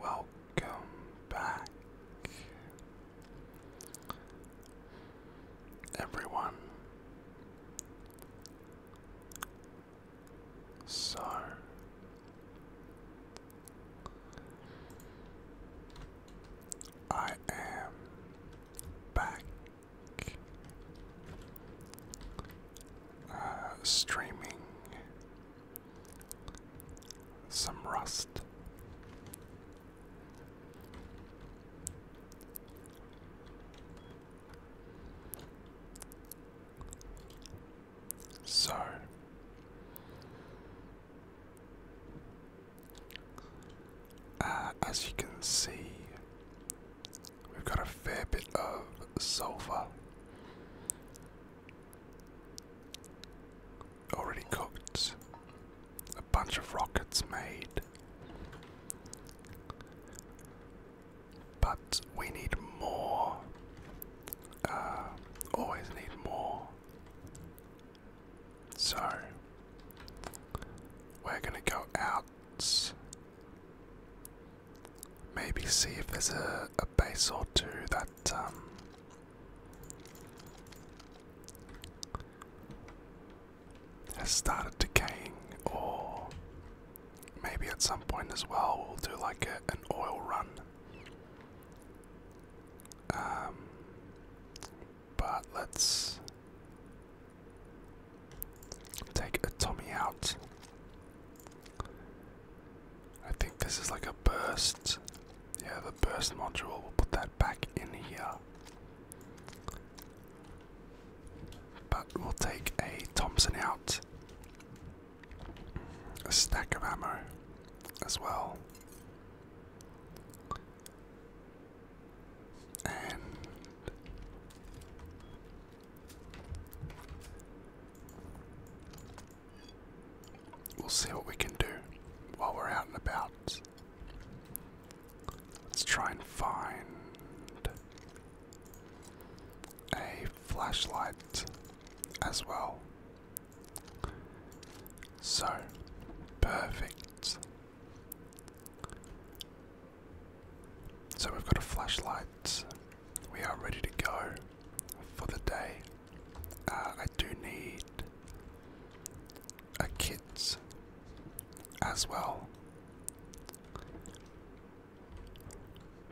Welcome back, everyone. So, I am back uh, streaming some rust. So uh, as you can see, We've got a fair bit of sulfur. Already cooked. A bunch of rockets made. But we need more. Uh, always need more. So, we're going to go out Maybe see if there's a, a base or two that um, has started decaying, or maybe at some point as well we'll do like an oil run. Um, but let's Take a Tommy out. I think this is like a burst. Yeah, the burst module. We'll put that back in here. But we'll take a Thompson out. A stack of ammo as well we'll see what we can do while we're out and about. Let's try and find a flashlight as well. So perfect. So we've got a flashlight. We are ready to go for the day. Uh, I do need a kit as well.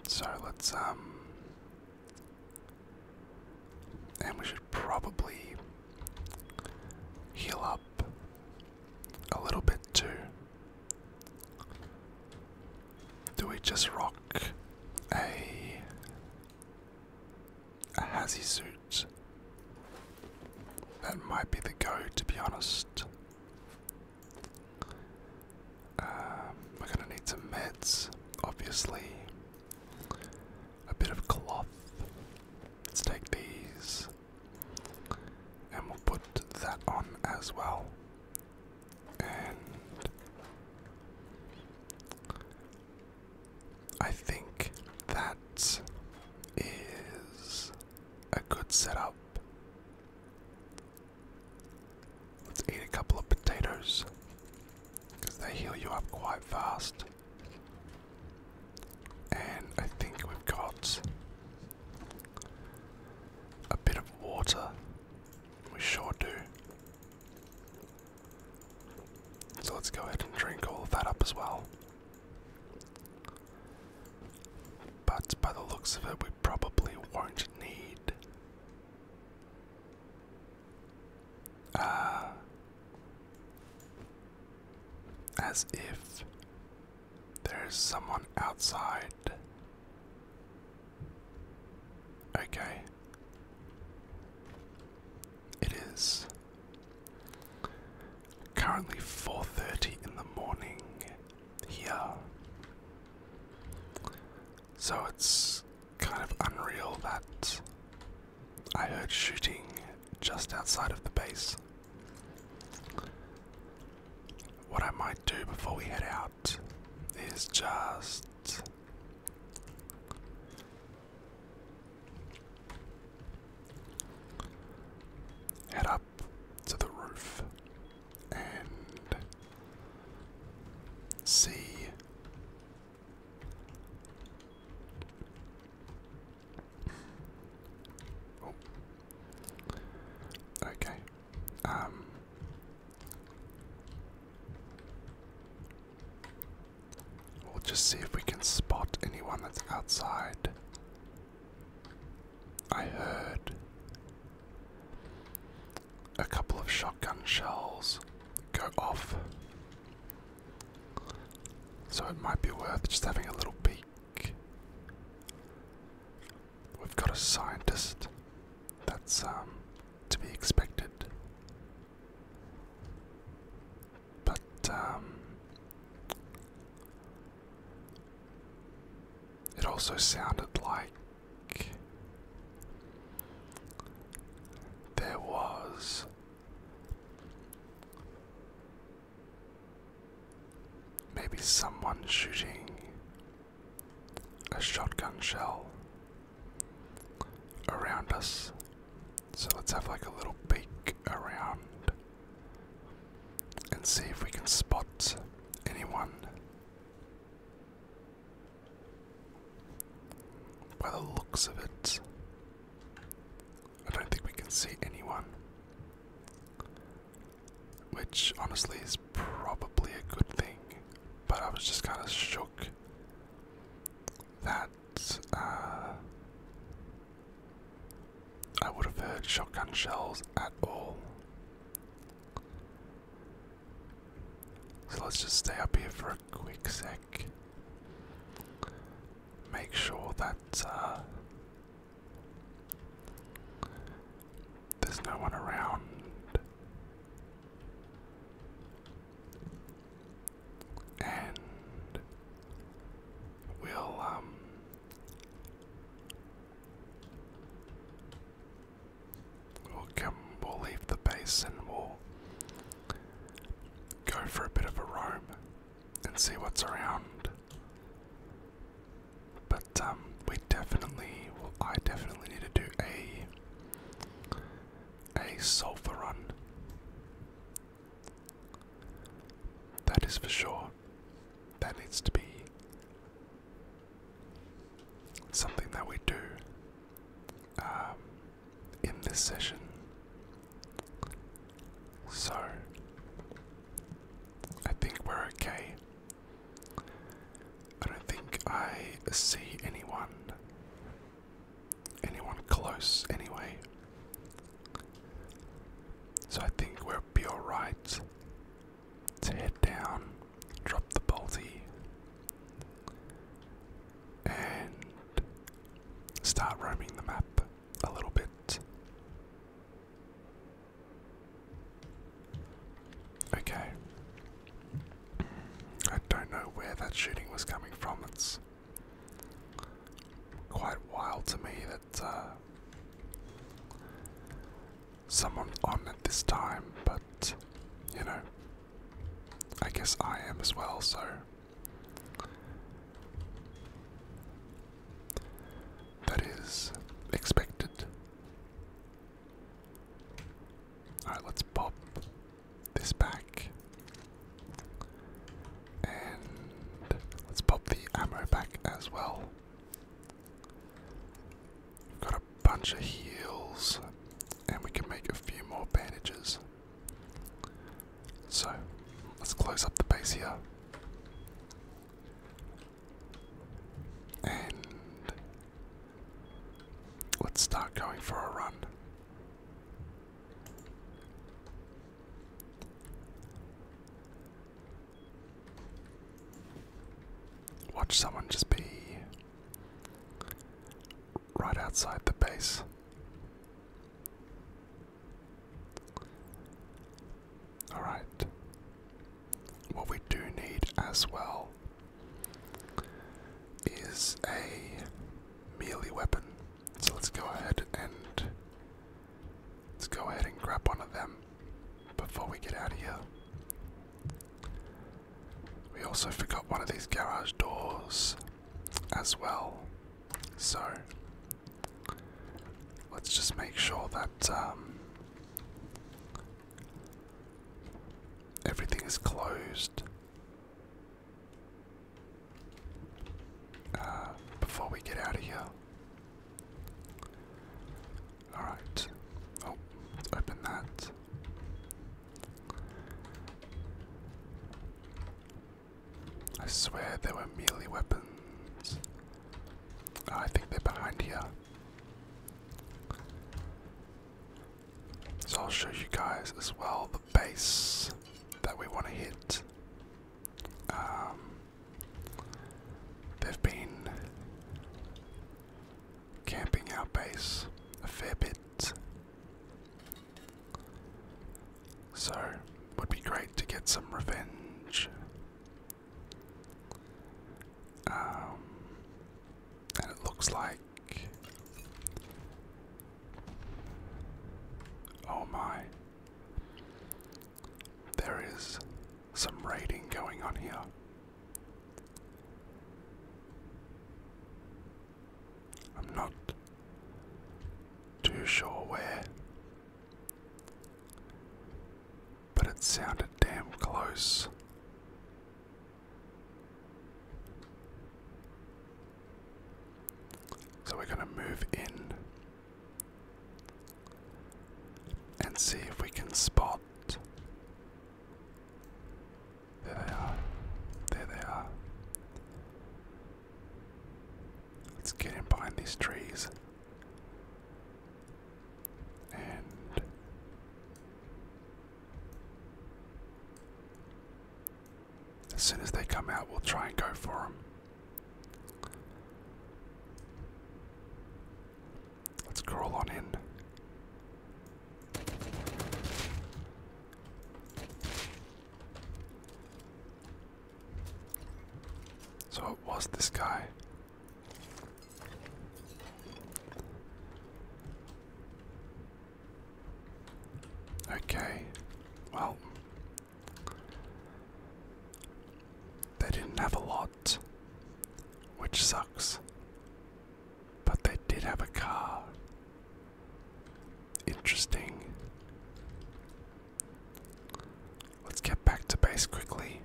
So let's um and we should probably heal up a little bit too. Do we just rock a a hazy suit? That might be the go, to be honest. Um, we're gonna need some meds, obviously. A bit of cloth. Let's take these and we'll put that on as well. And I think that is a good setup. Let's eat a couple of potatoes because they heal you up quite fast. And I think we've got a bit of water. We sure do. So let's go ahead and drink all of that up as well. But by the looks of it, we probably won't need. Uh, as if there's someone outside. Okay. It is currently 4:30 in the morning here. So it's kind of unreal that I heard shooting just outside of the base. What I might do before we head out is just. Head up to the roof and see Okay. Um. We'll just see if we can spot anyone that's outside. I heard a couple of shotgun shells go off. So it might be worth just having a little peek. We've got a scientist. That's um, to be expected. But um, it also sounded like there was Maybe someone shooting a shotgun shell around us. So let's have like a little peek around and see if we can spot anyone. By the looks of it, I don't think we can see anyone which honestly is probably a good thing, but I was just kind of shook that uh, I would have heard shotgun shells at all. So let's just stay up here for a quick sec. Make sure that uh, there's no one around. And we'll, um, we'll come, we'll leave the base we'll go for a bit of a roam and see what's around. But um, we definitely, well, I definitely need to do a a sulfur run. That is for sure. That needs to be something that we do um, in this session. So I think we're okay. I don't think I see anyone. Anyone close, anyway. So I think we are be alright to head down, drop the bolty, and start roaming the map a little bit. Okay. I don't know where that shooting was coming from. It's quite wild to me that uh, someone's on at this time, but you know, I guess I am as well, so. That is expected. Alright, let's pop this back. And let's pop the ammo back as well. We've got a bunch of heals, and we can make a few more bandages. So, let's close up the base here. And let's start going for a run. Watch someone just be right outside the base. Alright. What we do need as well is a melee weapon. So let's go ahead and let's go ahead and grab one of them before we get out of here. We also forgot one of these garage doors as well. So let's just make sure that um, Everything is closed. Uh, before we get out of here. Alright. Oh, let's open that. I swear they were merely weapons. Ah, I think they're behind here. So I'll show you guys as well the base that we want to hit. Um, they've been camping our base a fair bit. So would be great to get some revenge um, it looks like. Oh my. There is some raiding going on here. I'm not too sure where but it sounded damn close. So we're going to move in and see if we can spot. There they are. There they are. Let's get in behind these trees as soon as they come out, we'll try and go for them. Let's crawl on in. So it was this guy. Okay, well, they didn't have a lot, which sucks, but they did have a car. Interesting. Let's get back to base quickly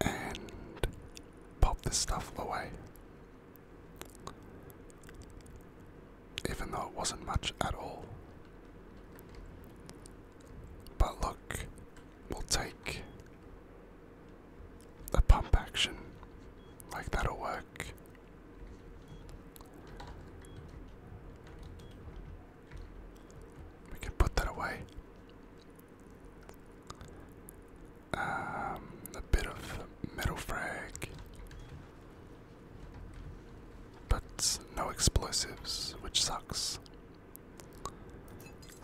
and pop this stuff away. Even though it wasn't much at all. But look, we'll take a pump action. Like that'll work. We can put that away. Um, a bit of metal frag, but no explosives, which sucks.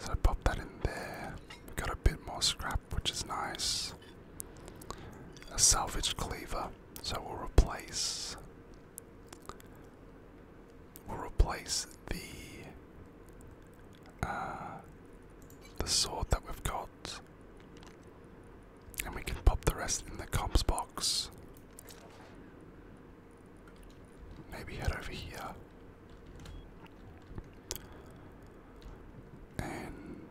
So pop that in there. We got a bit more scrap, which is nice. A salvaged cleaver, so we'll replace We'll replace the uh, the sword that we've got, and we can pop the rest in the comps box. Maybe head over here. And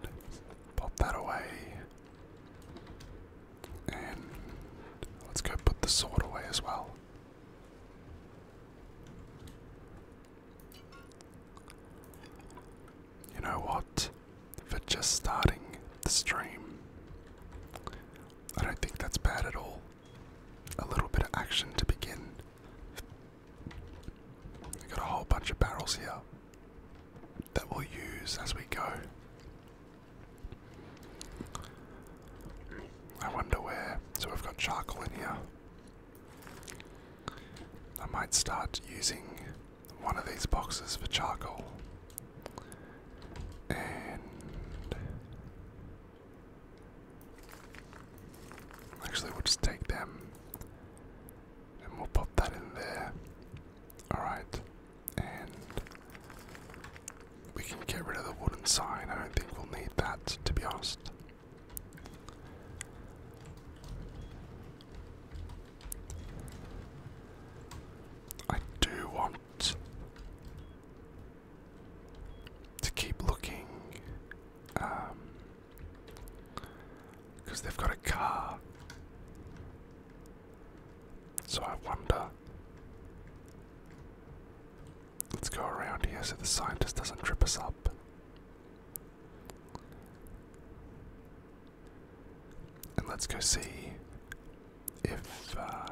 pop that away. And let's go put the sword away as well. You know what? For just starting the stream, I don't think that's bad at all. A little bit of action to begin. We've got a whole bunch of barrels here that we'll use as we go. I wonder where. So we've got charcoal in here. I might start using one of these boxes for charcoal. And. Actually, we'll just take them and we'll pop that in there. Alright. We can get rid of the wooden sign. I don't think we'll need that, to be honest. I do want to keep looking because um, they've got a car. So I wonder Let's go around here so the scientist doesn't trip us up. And let's go see if uh,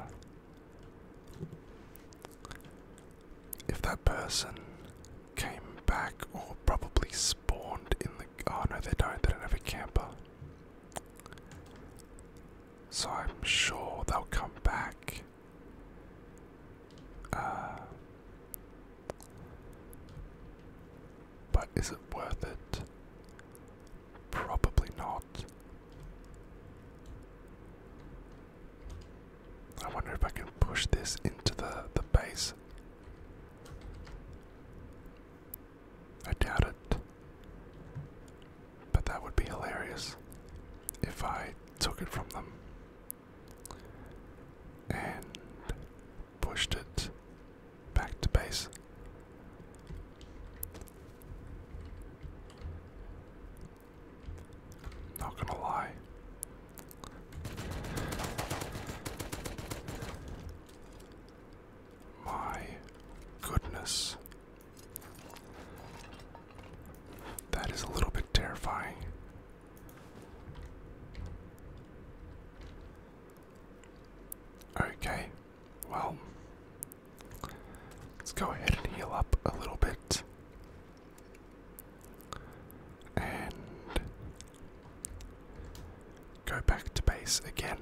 if that person came back or probably spawned in the. Oh no, they don't. They don't have a camper. So I'm sure they'll come back. Uh, but is it worth it? Probably not. I wonder if I can push this into the, the base. I doubt it. But that would be hilarious if I took it from them and pushed it back to base. Not gonna lie. My goodness, that is a little bit terrifying. Okay, well, let's go ahead and heal up a little bit. And go back to base again.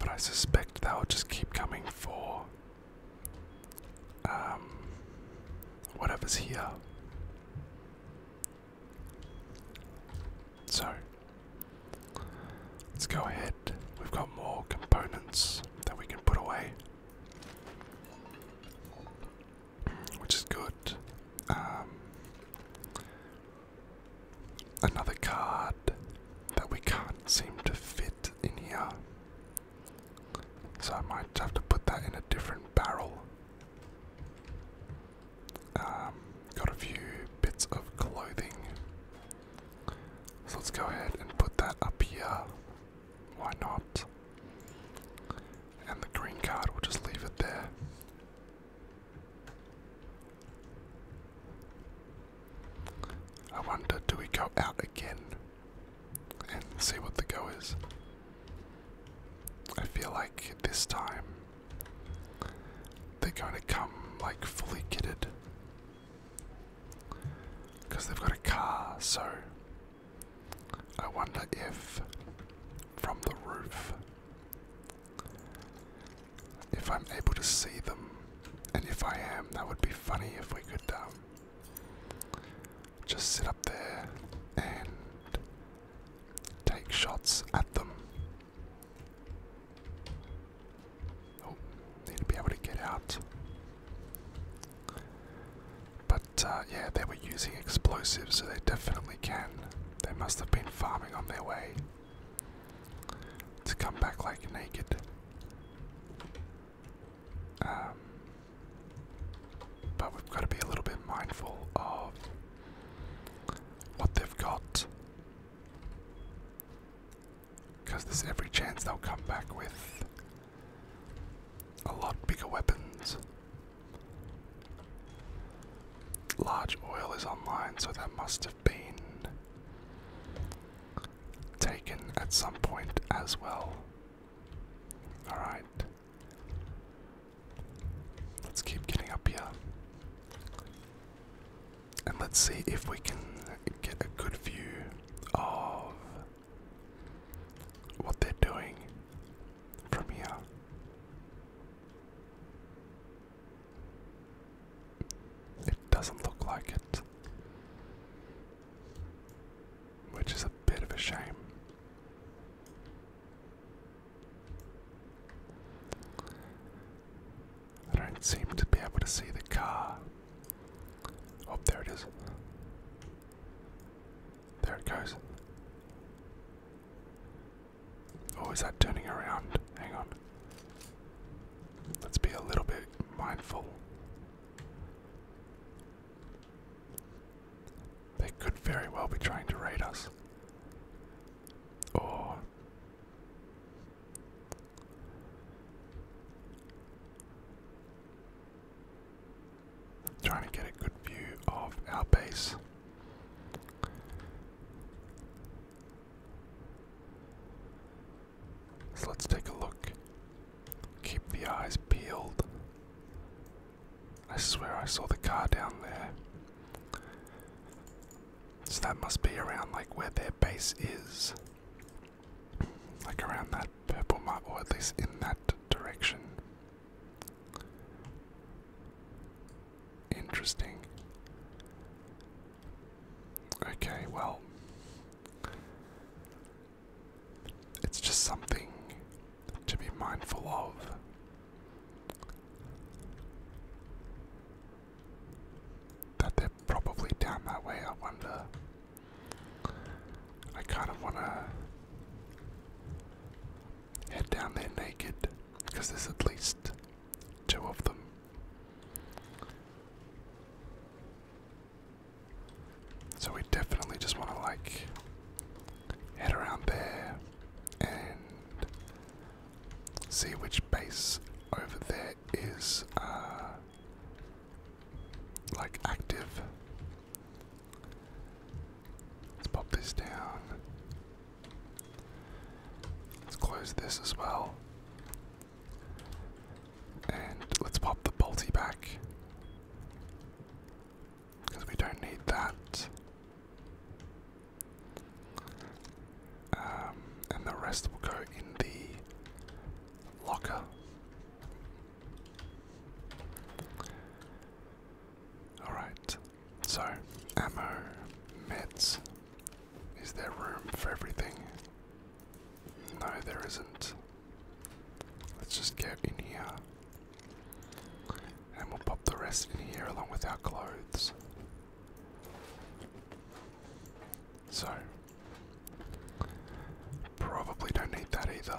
But I suspect they'll just keep coming for um, whatever's here. So, let's go ahead. We've got more components that we can put away, which is good. Um, another card that we can't seem to fit in here. So I might have to put that in a different barrel. Um, got a few bits of clothing. So let's go ahead and put that up here. Why not? And the green card, we'll just leave it there. I wonder, do we go out again and see what the go is? I feel like this time they're going to come like fully kitted because they've got a car, so I wonder if from the roof if I'm able to see them and if I am, that would be funny if we could um, just sit up there and take shots at them. Oh, need to be able to get out. But uh, yeah, they were using explosives, so they definitely can. They must have been farming on their way to come back like naked. Um, but we've got to be a little bit mindful of what they've got. Because there's every chance they'll come back with a lot bigger weapons. Large oil is online, so that must have been taken at some point as well. Alright. Let's keep getting up here. And let's see if we can get a good view of what they're doing from here. It doesn't look like it. Which is a bit of a shame. I don't seem to be able to see the car. Oh, there it is. There it goes. Oh, is that turning around? Hang on. Let's be a little bit mindful they could very well be trying to raid us. Or. Trying to get a good view of our base. So let's take a look. Keep the eyes peeled. I swear I saw the car down there. So that must be around like where their base is. Like around that purple mark, or at least in that direction. Interesting. Okay, well, it's just something to be mindful of. That they're probably down that way, I wonder. I kind of want to head down there naked, because there's at least two of them. So we definitely just want to like head around there and see which base over there is uh, like active. Let's pop this down. Let's close this as well. And let's pop the bolty back. Because we don't need that. Um, and the rest will go in the locker. Alright, so ammo, meds. Is there room for everything? No, there isn't. Let's just get in here. And we'll pop the rest in here along with our clothes. So, probably don't need that either.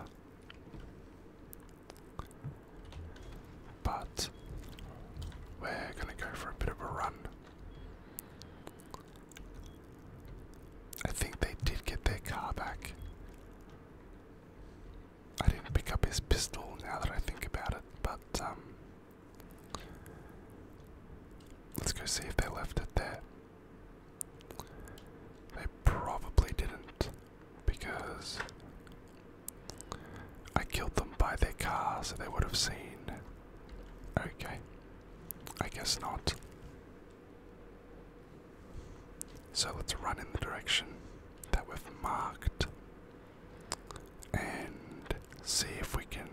But, we're gonna go for a bit of a run. I think they did get their car back. I didn't pick up his pistol now that I think about it, but um, let's go see if they left it there. They probably didn't because I killed them by their car so they would have seen. Okay. I guess not. So let's run in the direction that we've marked and see if we can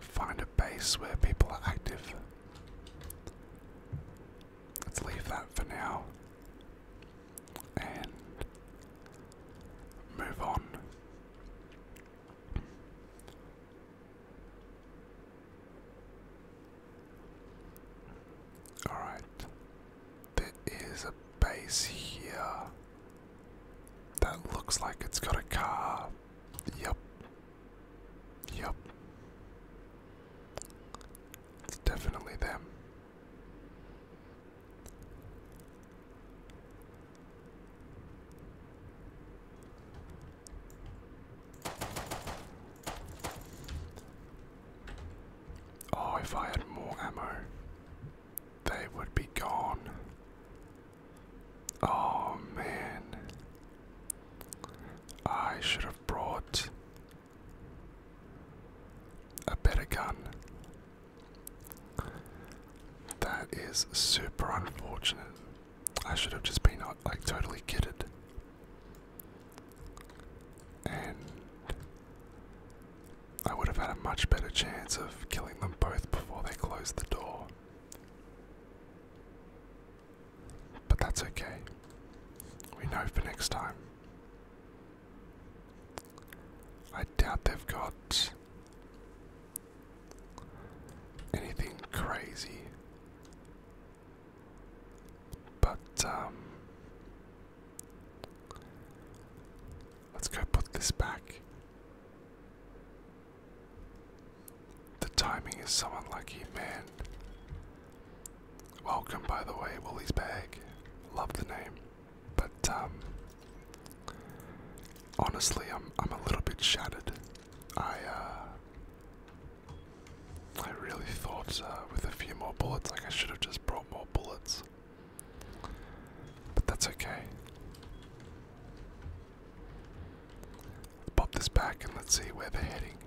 find a base where people are active. Let's leave that for now and move on. Alright, there is a base here that looks like it's got a car. Yep. Yep. It's definitely them. Oh, if I had more ammo, they would be gone. Oh man. I should have brought a better gun. That is super unfortunate. I should have just been uh, like totally kidded. And I would have had a much better chance of killing them both before they closed the door. But that's okay. We know for next time. I doubt they've got anything crazy but, um, let's go put this back. The timing is so unlucky, man. Welcome, by the way, Willie's Bag. Love the name. But, um, honestly, I'm, I'm a little bit shattered. I, uh, I really thought uh, with a few more bullets, like I should have just brought more bullets. But that's okay. Pop this back and let's see where they're heading.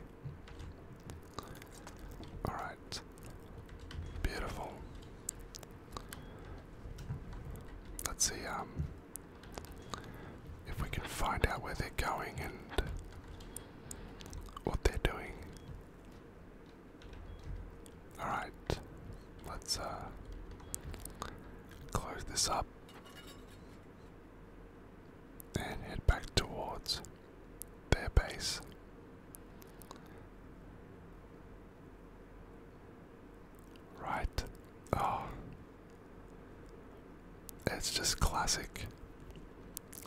Alright. Beautiful. Let's see, um, if we can find out where they're going and what they're doing. Alright, let's uh, close this up and head back towards their base. Right. Oh, it's just classic.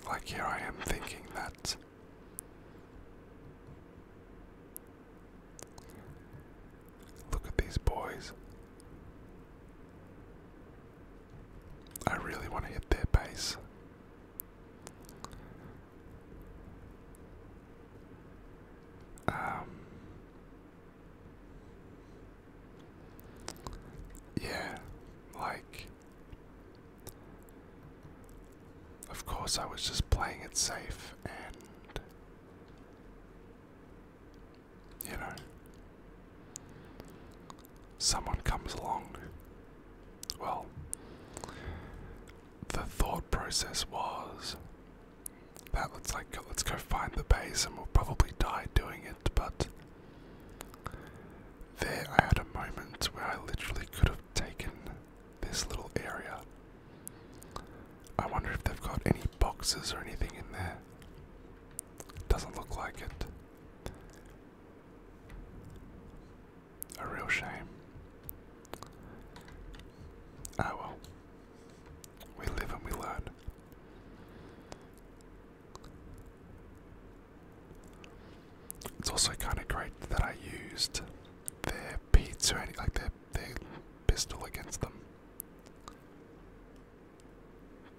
Like, here I am thinking that look at these boys. I really want to hit their base. Um, yeah, like. Of course, I was just playing it safe and. You know. Someone comes along. Well, the thought process was that looks like let's go find the base and we'll probably die doing it, but there, I had a moment where I literally could have taken this little area. I wonder if they've got any boxes or anything in there. Doesn't look like it. A real shame. Ah well. We live and we learn. It's also kind of great that I used their pizza, like their their pistol against them.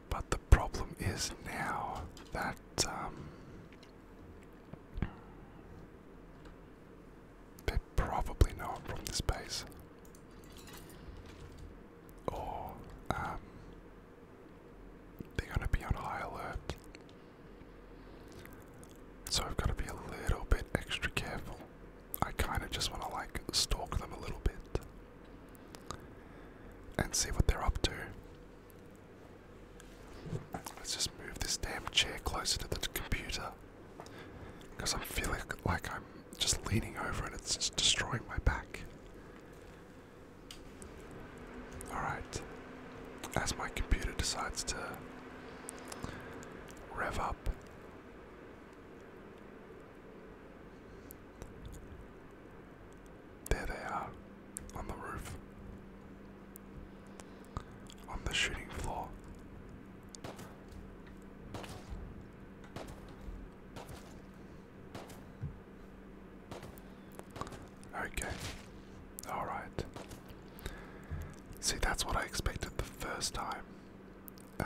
But the problem is now that um, they probably know from this base, or um, they going to be on high alert. So I've gotta be a little bit extra careful. I kinda just wanna like stalk them a little bit and see what they're up to. Let's just move this damn chair closer to the computer. Because I'm feeling like I'm just leaning over and it's just destroying my back. Alright. As my computer decides to rev up. There they are, on the roof, on the shooting floor. Okay. Alright. See, that's what I expected the first time. Uh,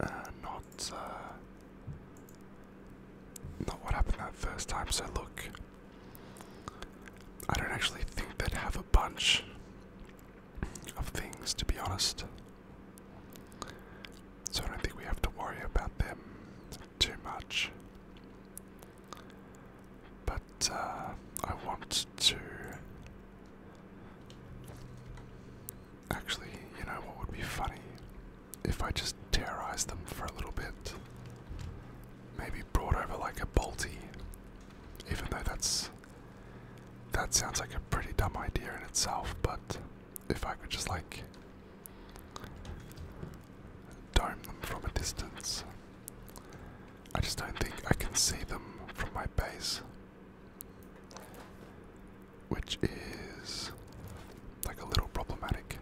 uh, not, uh, not what happened that first time. So look, I don't actually think they have a bunch of things, to be honest. So I don't think we have to worry about them too much. But uh, I want to. Actually, you know what would be funny? If I just terrorized them for a little bit. Maybe brought over like a bolty. Even though that's that sounds like a pretty dumb idea in itself, but if I could just like dome them from a distance, I just don't think I can see them from my base, which is like a little problematic.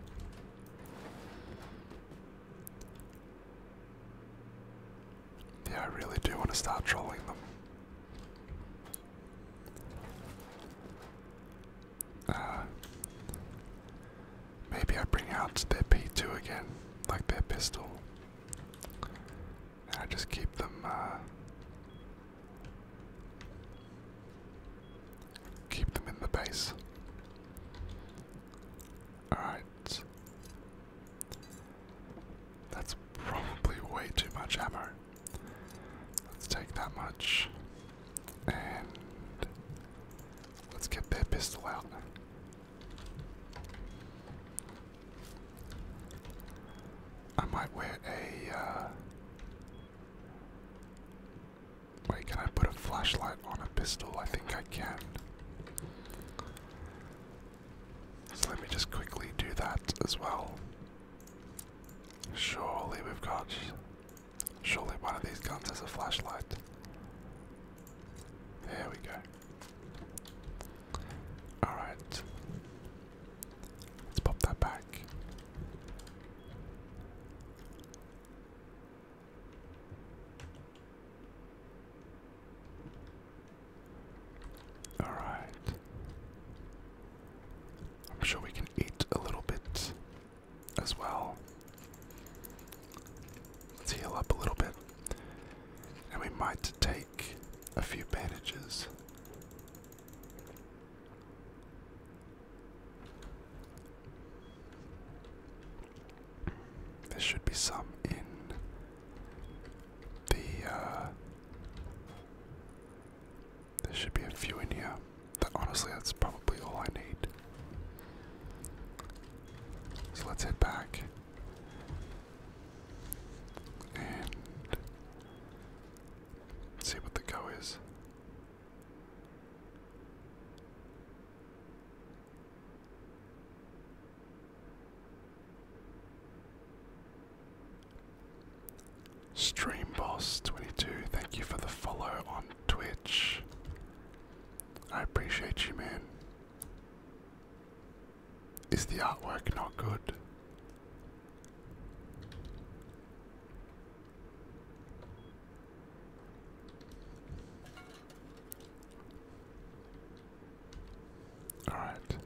Yeah, I really do want to start trolling them. Uh, maybe I bring out their P2 again, like their pistol. And I just keep them, uh, keep them in the base. Alright. That's probably way too much ammo. Let's take that much. And let's get their pistol out. I might wear a. Uh, wait, can I put a flashlight on a pistol? I think I can. So let me just quickly do that as well. Surely we've got. Surely one of these guns has a flashlight. There we go. Alright. Let's pop that back. Alright. I'm sure we can eat a little bit as well. heal up a little bit. And we might take a few bandages. There should be some in the uh, there should be a few in here. That, honestly, that's probably all I need. So let's head back. And see what the go is. Stream boss 22 thank you for the follow on Twitch. I appreciate you, man. Is the artwork not good? All right.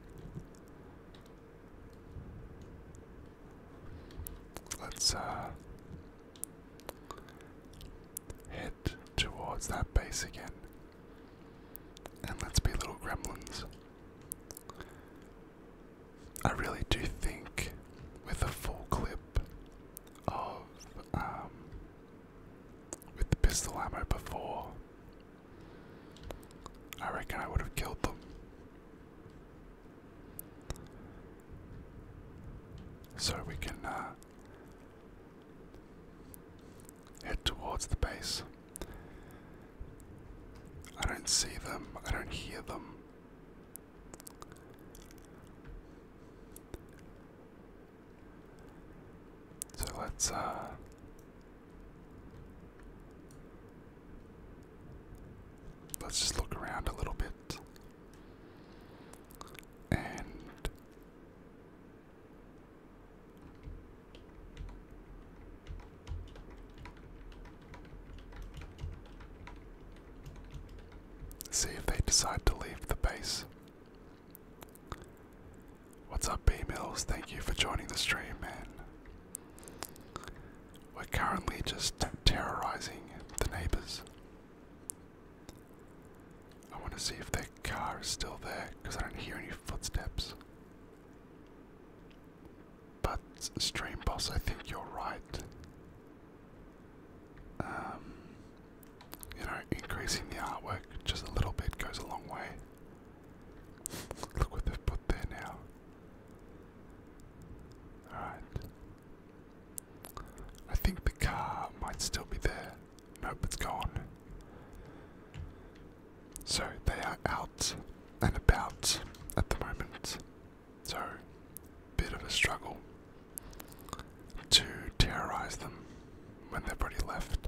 Let's uh, head towards that base again. And let's be little gremlins. I really do think with a full clip of um, with the pistol ammo before I reckon I would have killed them. So we can uh, head towards the base. I don't see them, I don't hear them. So let's uh Let's just look around a little bit. And see if they decide to leave the base. What's up, B Mills? Thank you for joining the stream, man. We're currently just terrorizing the neighbors. I want to see if their car is still there because I don't hear any footsteps. But, Stream Boss, I think you're right. Um, you know, increasing the artwork just a little bit goes a long way. Look what they've put there now. Alright. I think the car might still be there. Nope, it's gone. So they are out and about at the moment. So, bit of a struggle to terrorize them when they've already left.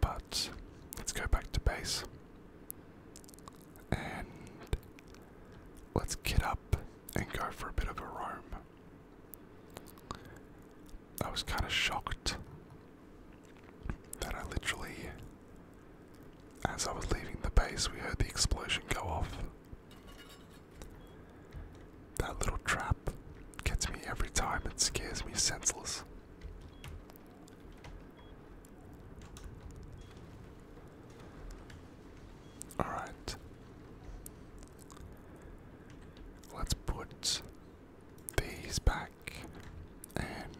But let's go back to base and let's get up and go for a bit of a roam. I was kind of shocked that I literally, as I was leaving the base, we heard the explosion go off. That little trap gets me every time. It scares me senseless. Alright. Let's put these back and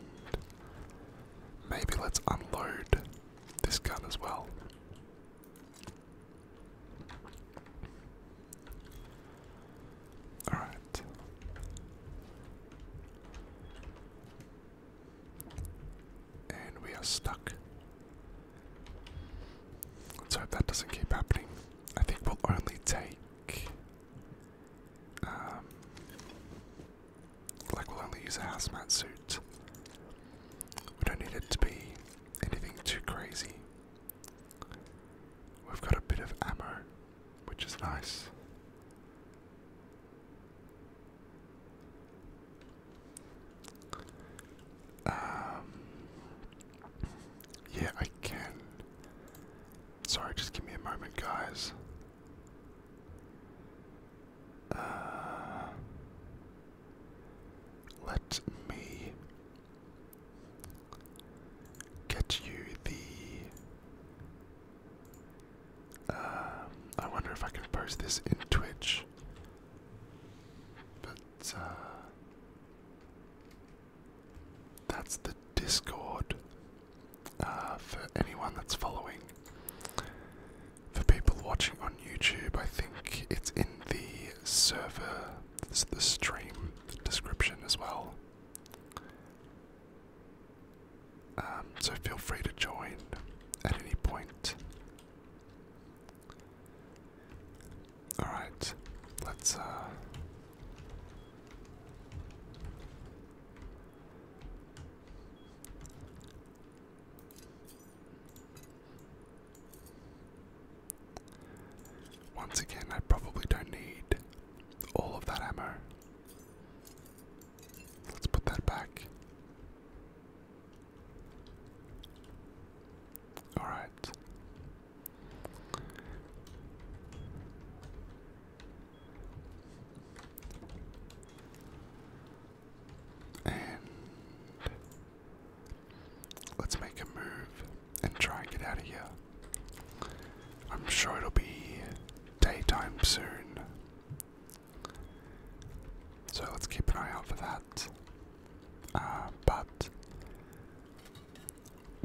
maybe let's unload this gun as well. All right. And we are stuck. Let's hope that doesn't keep happening. I think we'll only take. Um, like, we'll only use a hazmat suit. We don't need it to be anything too crazy. We've got a bit of ammo, which is nice. Um, yeah, I can. Sorry, just give me a moment, guys. Uh, let me get you the. Um, I wonder if I can post this in Twitch. But, uh, That's the Discord uh, for anyone that's following. For people watching on YouTube, I think it's in the server, the stream description as well. Um, so feel free to join at any point. All right, let's. Uh, once again, I probably don't need all of that ammo. Let's put that back. Alright. And let's make a move and try and get out of here. I'm sure it'll be daytime soon. So let's keep an eye out for that. Uh, but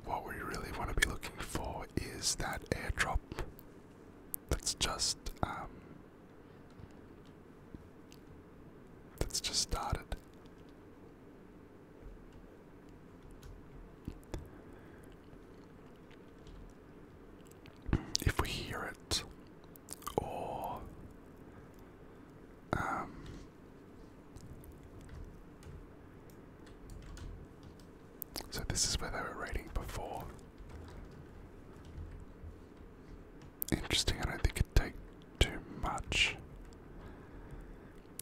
what we really want to be looking for is that airdrop that's just um, that's just started. If we hear it, or um, so this is where they were rating before. Interesting. I don't think it'd take too much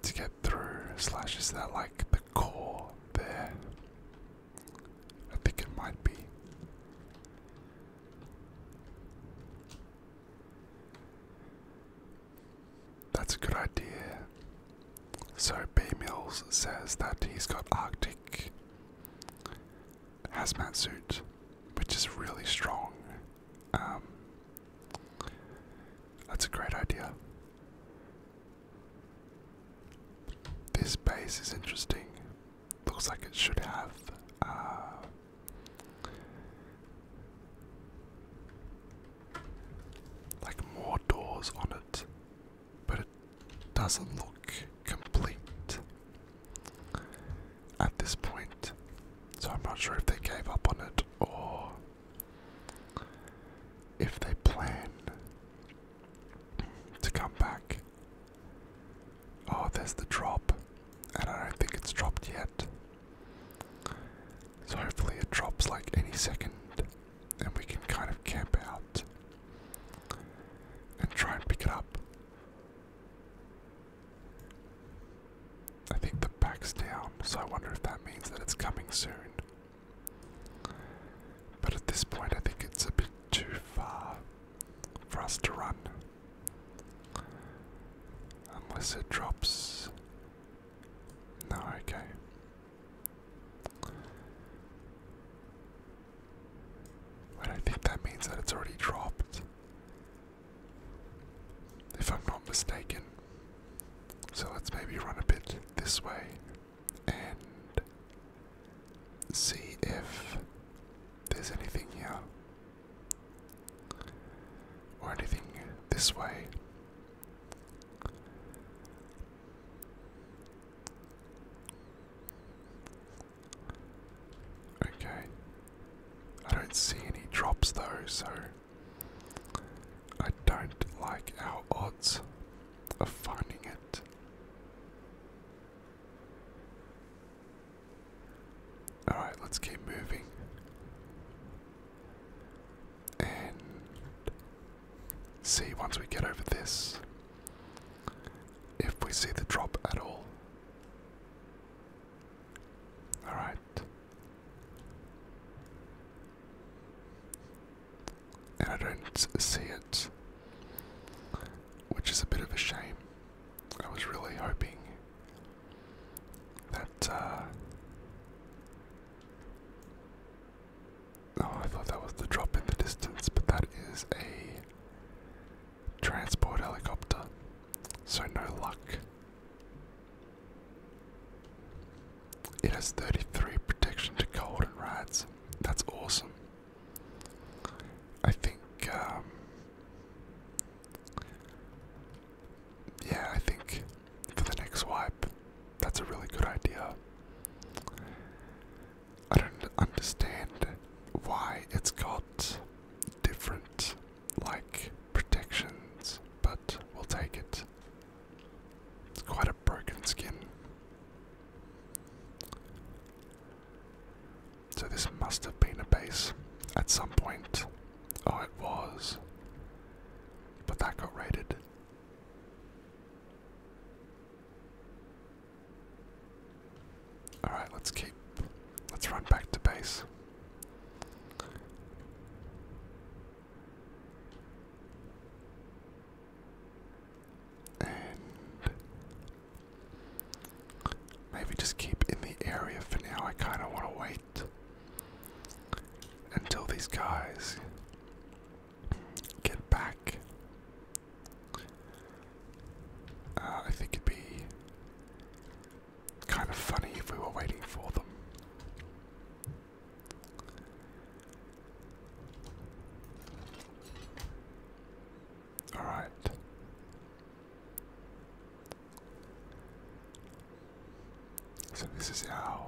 to get through slashes that like the core there? I think it might be. That's a good idea. So B Mills says that he's got Arctic hazmat suit, which is really strong. Um, that's a great idea. This base is interesting. Looks like it should have uh, like more doors on it, but it doesn't look complete at this point. So I'm not sure if they gave up on it or if they plan to come back. Oh, there's the drop. And I don't think it's dropped yet. So hopefully it drops like any second. And we can kind of camp out and try and pick it up. I think the pack's down, so I wonder if that means that it's coming soon. But at this point, I think it's a bit too far for us to run. Unless it drops. No, okay. I think that means that it's already dropped. If I'm not mistaken. So let's maybe run a bit this way and see if there's anything here or anything this way. Okay. I don't see any drops though, so I don't like our odds of finding it. Alright, let's keep moving. And see once we get over this if we see the drop at all. Alright and I don't see it, which is a bit of a shame. I was really hoping that. Uh, oh, I thought that was the drop in the distance, but that is a transport helicopter, so no luck. It has 33 protection to cold and rats. That's awesome. I think, um, yeah, I think for the next wipe, that's a really good idea. I don't understand why it's got different, like, protections, but we'll take it. It's quite a broken skin. So this must have been a base at some point. Oh, it was. But that got raided. Alright, let's keep. Let's run back to base. And maybe just keep in the area for now. I kind of want to wait until these guys get back. Uh, I think it'd be kind of funny if we were waiting for them. All right. So this is our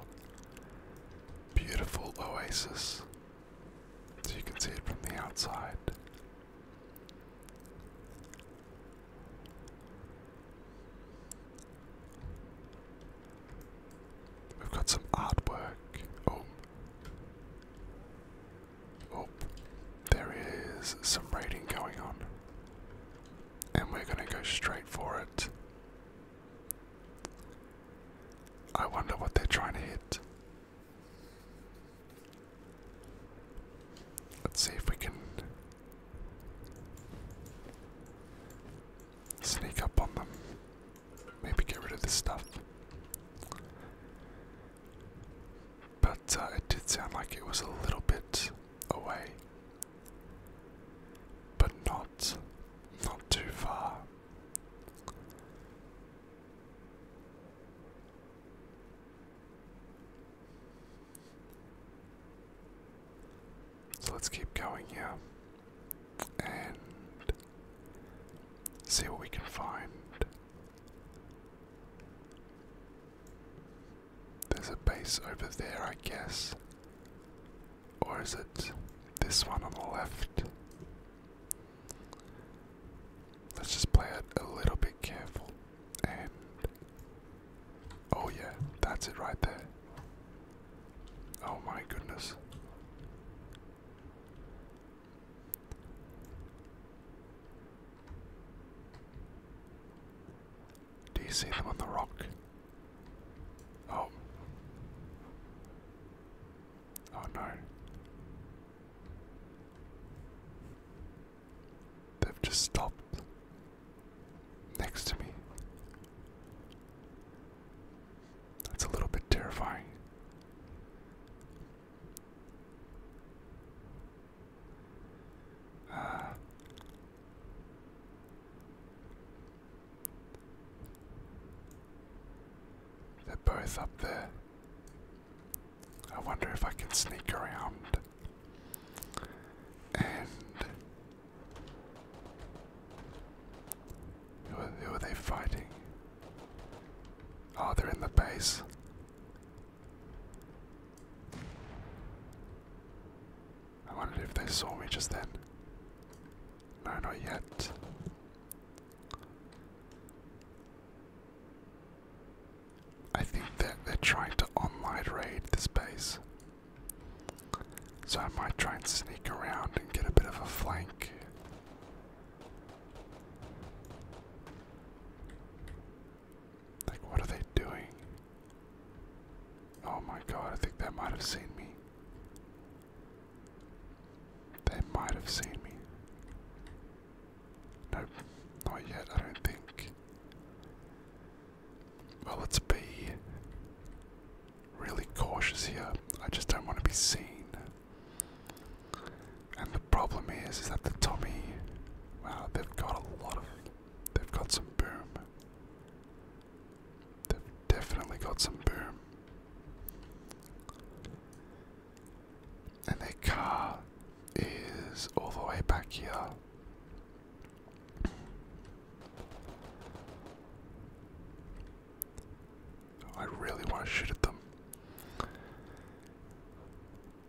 beautiful oasis. So you can see it from the outside. We've got some artwork. Oh. Oh. There is some raiding going on. And we're going to go straight for it. I wonder what they're trying to hit. Let's see if we can sneak up on them. Maybe get rid of this stuff. But uh, it did sound like it was a little bit away. But not, not too far. So let's keep going here. Yeah and see what we can find. There's a base over there, I guess. Or is it this one on the left? Let's just play it a little bit careful and. Oh, yeah, that's it right there. Oh my goodness. Do you see them on the rock? Oh. Oh no. They've just stopped next to me. That's a little bit terrifying. Uh, they're both up there. I wonder if I can sneak around and who are they fighting? Oh, they're in the base. I wondered if they saw me just then. No, not yet. I think that they're trying to online raid this base. So I might try and sneak around and get a bit of a flank. Like, what are they doing? Oh my god, I think they might have seen me. They might have seen me. Nope, not yet, I don't think. Well, let's be really cautious here. I just don't want to be seen. And the problem is, is that the Tommy, wow, they've got a lot of, they've got some boom. They've definitely got some boom. And their car is all the way back here. Oh, I really want to shoot at them.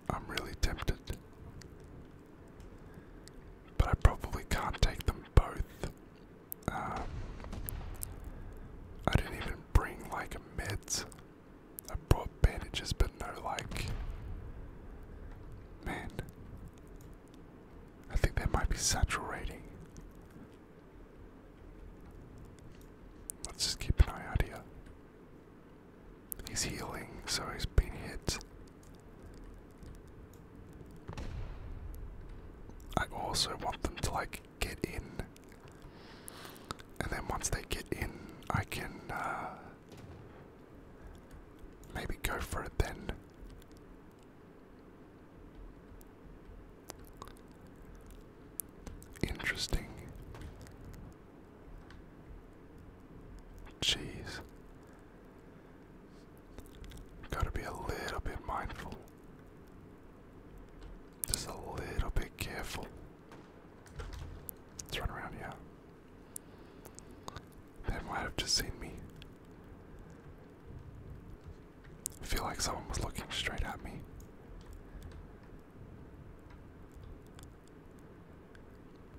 I'm really tempted. But I probably can't take them both. Um, I didn't even bring like meds. I brought bandages, but no, like. Man. I think they might be saturating. Let's just keep an eye out here. He's healing, so he's been hit. I also want them to like get in. And then once they get in, I can uh maybe go for it then. Interesting. Jeez. Gotta be a little bit mindful. Just a little bit careful. let around here. They might have just seen me. I feel like someone was looking straight at me.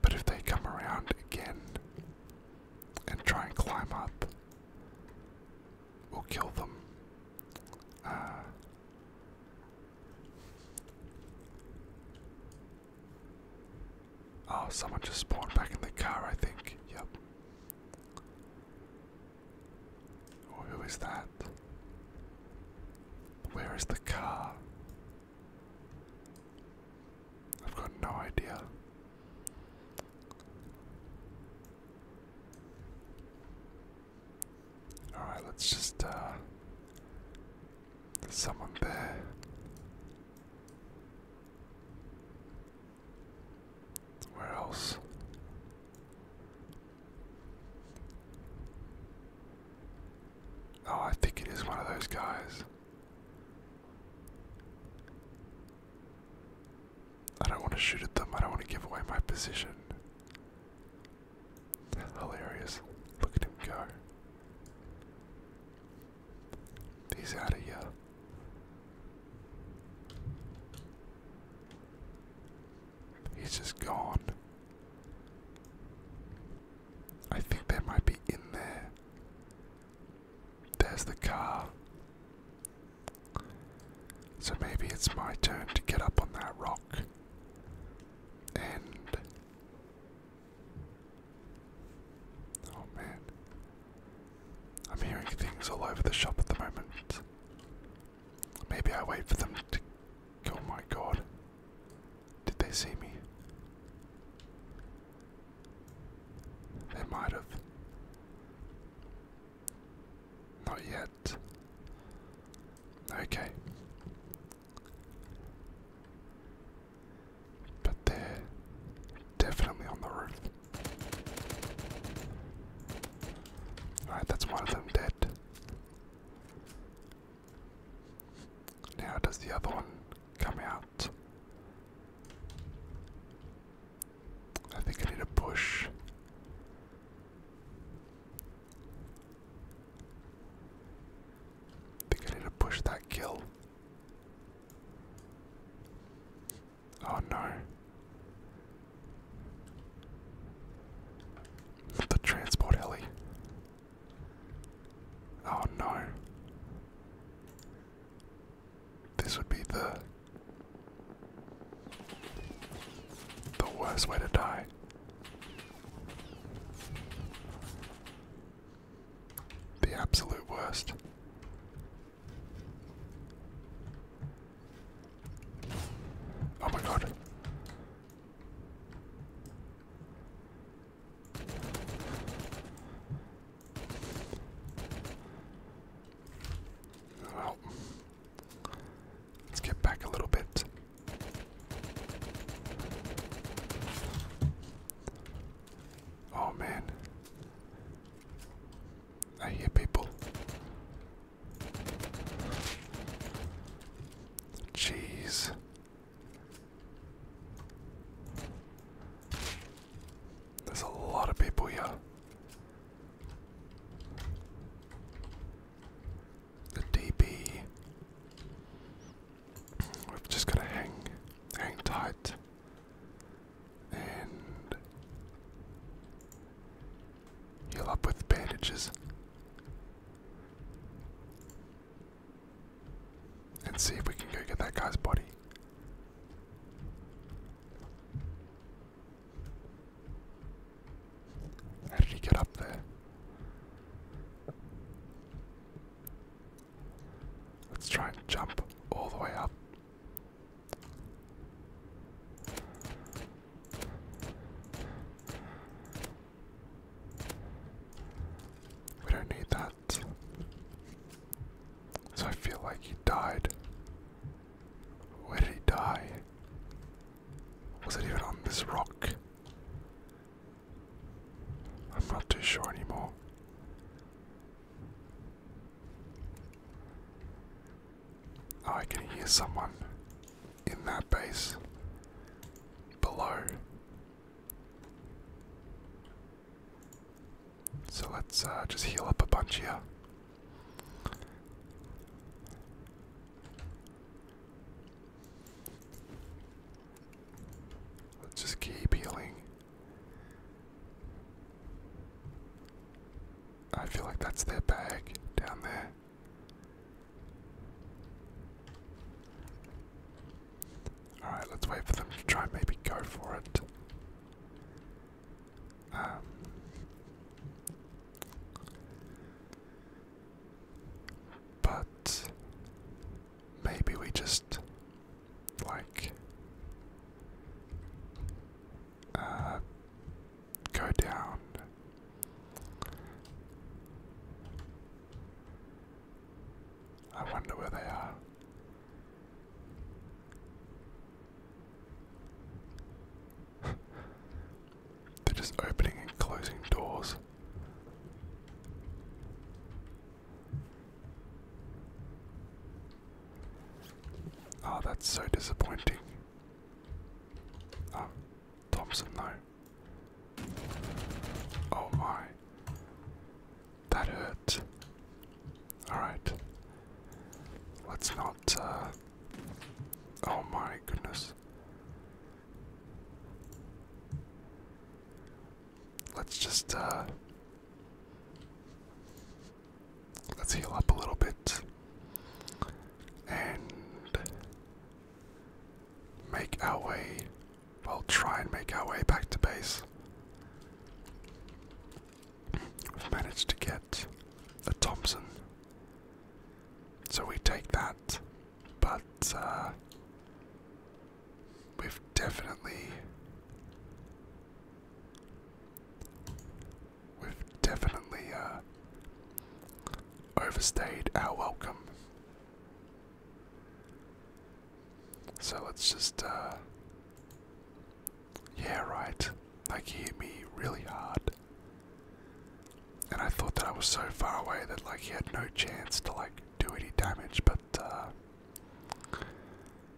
But if they come around again and try and climb up, we'll kill them. Uh, oh, someone just spawned back in the car, I think. Yep. Or who is that? Where is the car? I've got no idea. Alright, let's just, uh, someone there. Where else? Oh, I think it is one of those guys. I don't want to shoot at them, I don't want to give away my position. Hilarious. Look at him go. He's out of here. He's just gone. I think they might be in there. There's the car. So maybe it's my turn to get up on that rock. And. Oh man. I'm hearing things all over the shop at the moment. Maybe I wait for them to. Oh my god. Did they see me? They might have. Not yet. Okay. But they're definitely on the roof. Alright, that's one of them dead it. Now, does the other one come out? I think I need a push. think I need to push that kill. Oh no. The transport heli. Oh no. This would be the the worst way to die. The absolute worst. Oh my god. Well, let's get back a little bit. Oh man. I hear people. Jeez. There's a lot of people here. The DB. We've just got to hang, hang tight, and Heal up with bandages. And see if we can go get that guy's body. How did he get up there? Let's try and jump all the way up. We don't need that. So I feel like he died. Where did he die? Was it even on this rock? I'm not too sure anymore. Oh, I can hear someone in that base below. So let's uh, just heal up a bunch here. Let's just keep healing. I feel like that's their bag down there. Alright, let's wait for them to try maybe go for it. Um, but maybe we just like uh, go down. I wonder where they are. They're just opening and closing doors. Oh, that's so disappointing. Oh, Thompson, though. Oh my. That hurt. Alright. Let's not, uh. Oh my goodness. Let's just, uh. Let's heal up a little bit. And make our way, We'll try and make our way back to base. We've managed to get a Thompson, so we take that, but uh, we've definitely. We've definitely uh, overstayed our welcome. So let's just, uh. Yeah, right. Like, he hit me really hard. And I thought that I was so far away that, like, he had no chance to, like, do any damage, but, uh.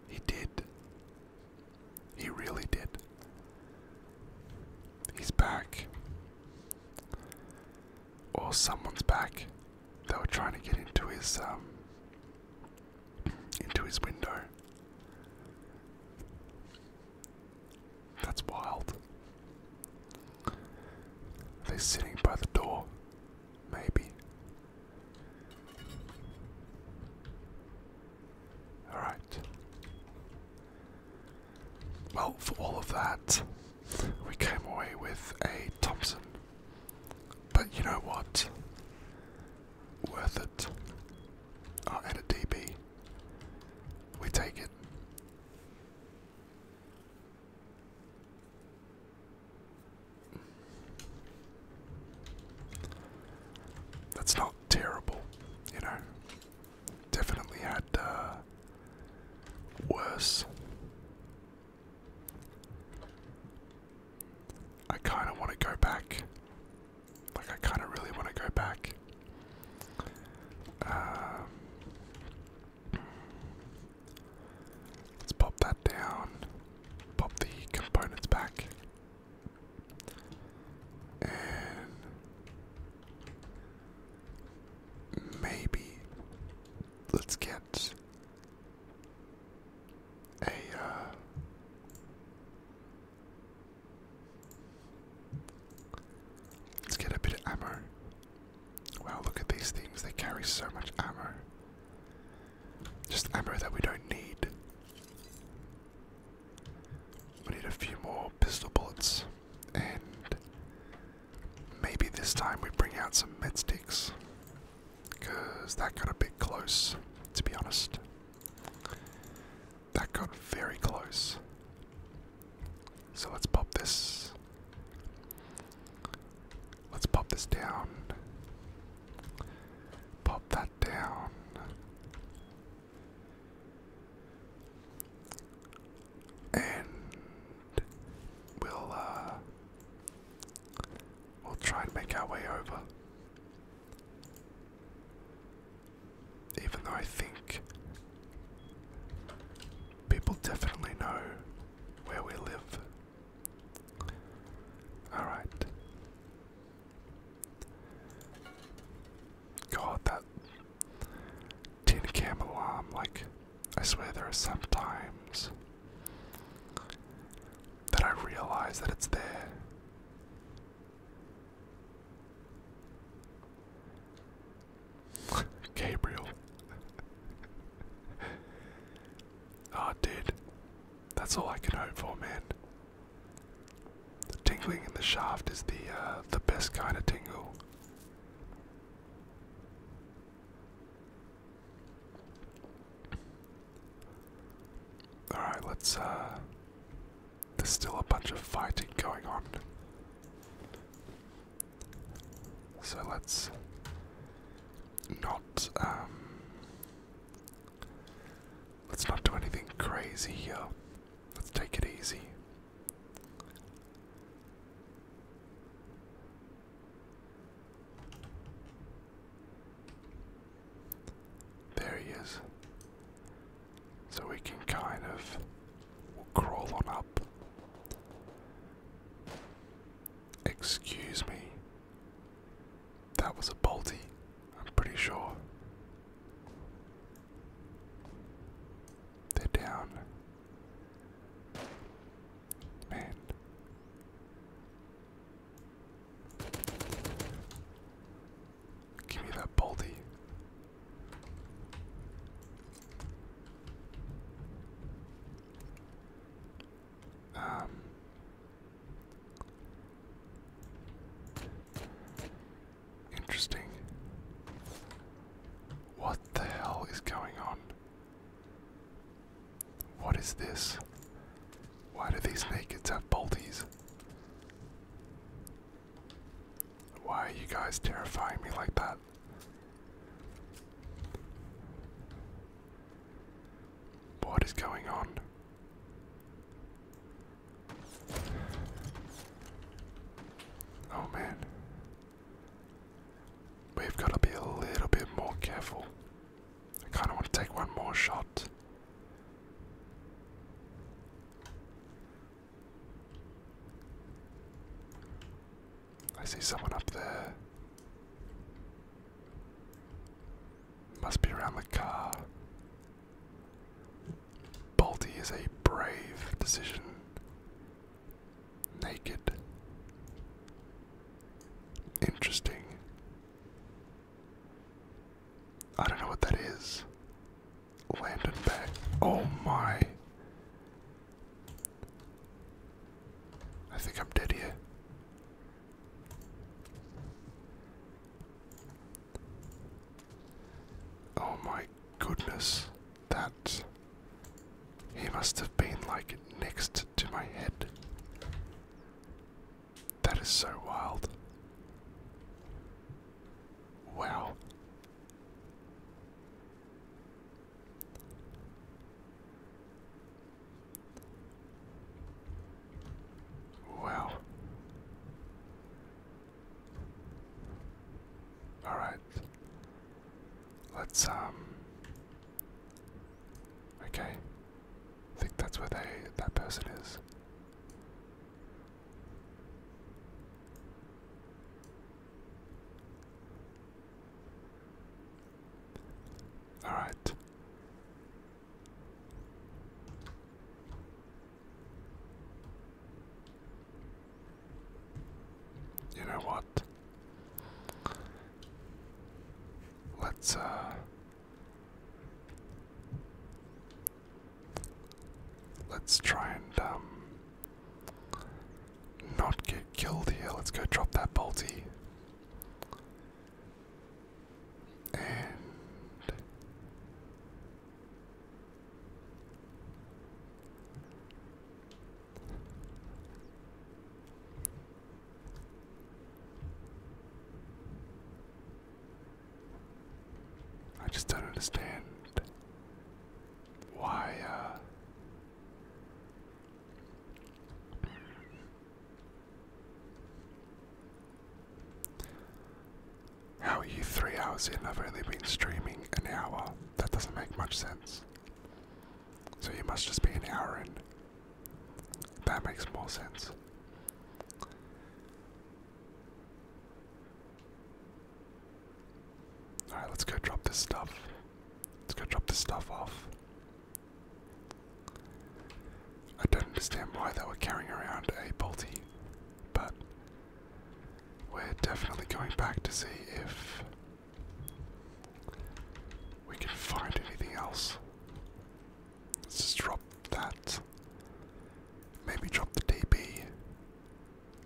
He did. He really did. He's back. Or someone's back. They were trying to get into his um into his window. That's wild. they Are sitting by the door? Maybe. Alright. Well, for all of that, we came away with a Thompson. But you know what? Worth it. Oh, and a DB. We take it. That's not terrible, you know definitely had uh, worse. I kind of want to go back. Like, I kind of really want to go back. Um, let's pop that down, pop the components back, Maybe let's get a. Uh, let's get a bit of ammo. Wow, look at these things, they carry so much ammo. Just ammo that we don't need. We need a few more pistol bullets and maybe this time we bring out some med sticks because that got a bit close to be honest that got very close so let's pop this let's pop this down pop that down and we'll uh we'll try and make our way over. Even though I think people definitely know where we live. Alright. God, that Teen Camelom, like, I swear there are some times that I realize that it's there. Gabriel. Ah, oh, dude. That's all I can hope for, man. The tingling in the shaft is the uh, the best kind of tingle. Alright, let's, uh, There's still a bunch of fighting going on. So let's not, um, Let's not do anything crazy here. Let's take it easy. There he is. So we can kind of crawl on up. Excuse me. That was a bolty, I'm pretty sure. they down Man. Give me that bolty. Um Interesting. What the hell is going on? What is this? Why do these nakeds have bolties? Why are you guys terrifying me like that? What is going on? Oh man. We've got to be a little bit more careful. I kind of want to take one more shot. I see someone up there. Must be around the car. Balti is a brave decision. Naked. Interesting. I don't know what that is. Lantern bag. Oh my. I think I'm dead here. Oh my goodness that he must have been like next to my head. That is so wild. Wow. Wow. Alright. Let's, um. Okay. I think that's where they, that person is. Alright. You know what? Let's, uh. Let's try and, um. Not get killed here. Let's go drop that bolty. And. I just don't understand why uh, How are you three hours in? I've only been streaming an hour. That doesn't make much sense. So you must just be an Aaron. That makes more sense. Alright, let's go drop this stuff. Let's go drop this stuff off. I don't understand why they were carrying around a bolty, but we're definitely going back to see if we can find anything else. Let's just drop that. Maybe drop the DB.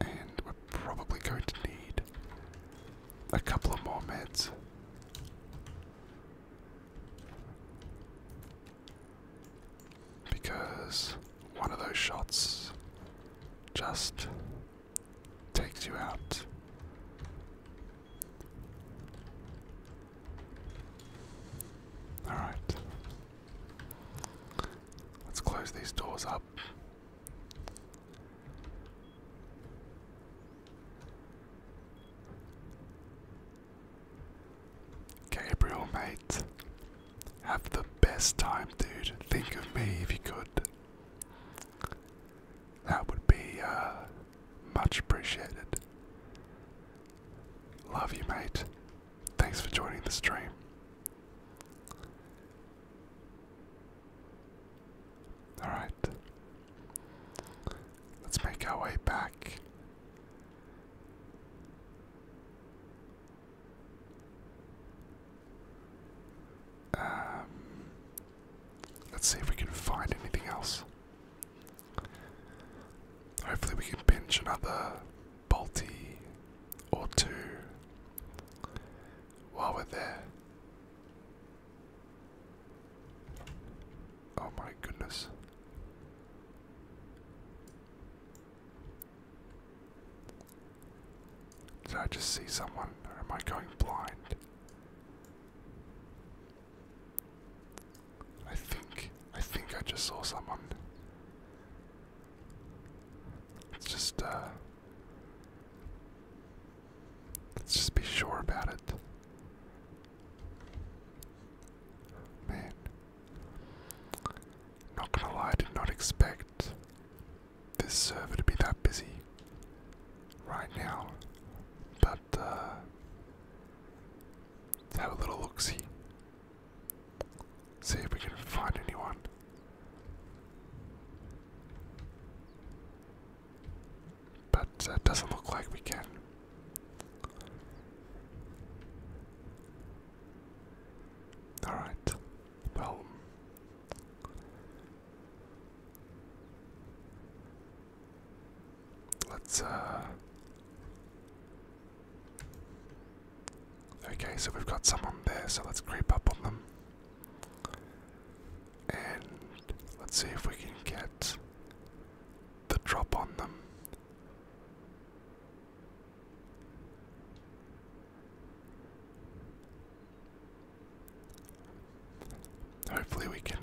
And we're probably going to need a couple of more meds. Because one of those shots just takes you out. Alright. Let's close these doors up. Gabriel, mate. Have the best time, dude. Think of me if you could. That would be uh, much appreciated. Love you, mate. Thanks for joining the stream. Alright. Let's make our way back. Um, let's see if we can find anything else. Hopefully, we can pinch another Balti or two while we're there. Oh my goodness. Did I just see someone or am I going blind? I think I think I just saw someone. Let's just uh let's just be sure about it. Man. Not gonna lie, I did not expect this server to be that busy right now, but uh, let's have a little look see. See if we can find anyone. But that uh, doesn't look like we can. Alright, well, Let's, uh, Okay, so we've got someone there, so let's creep up on them. And let's see if we can get the drop on them. Hopefully, we can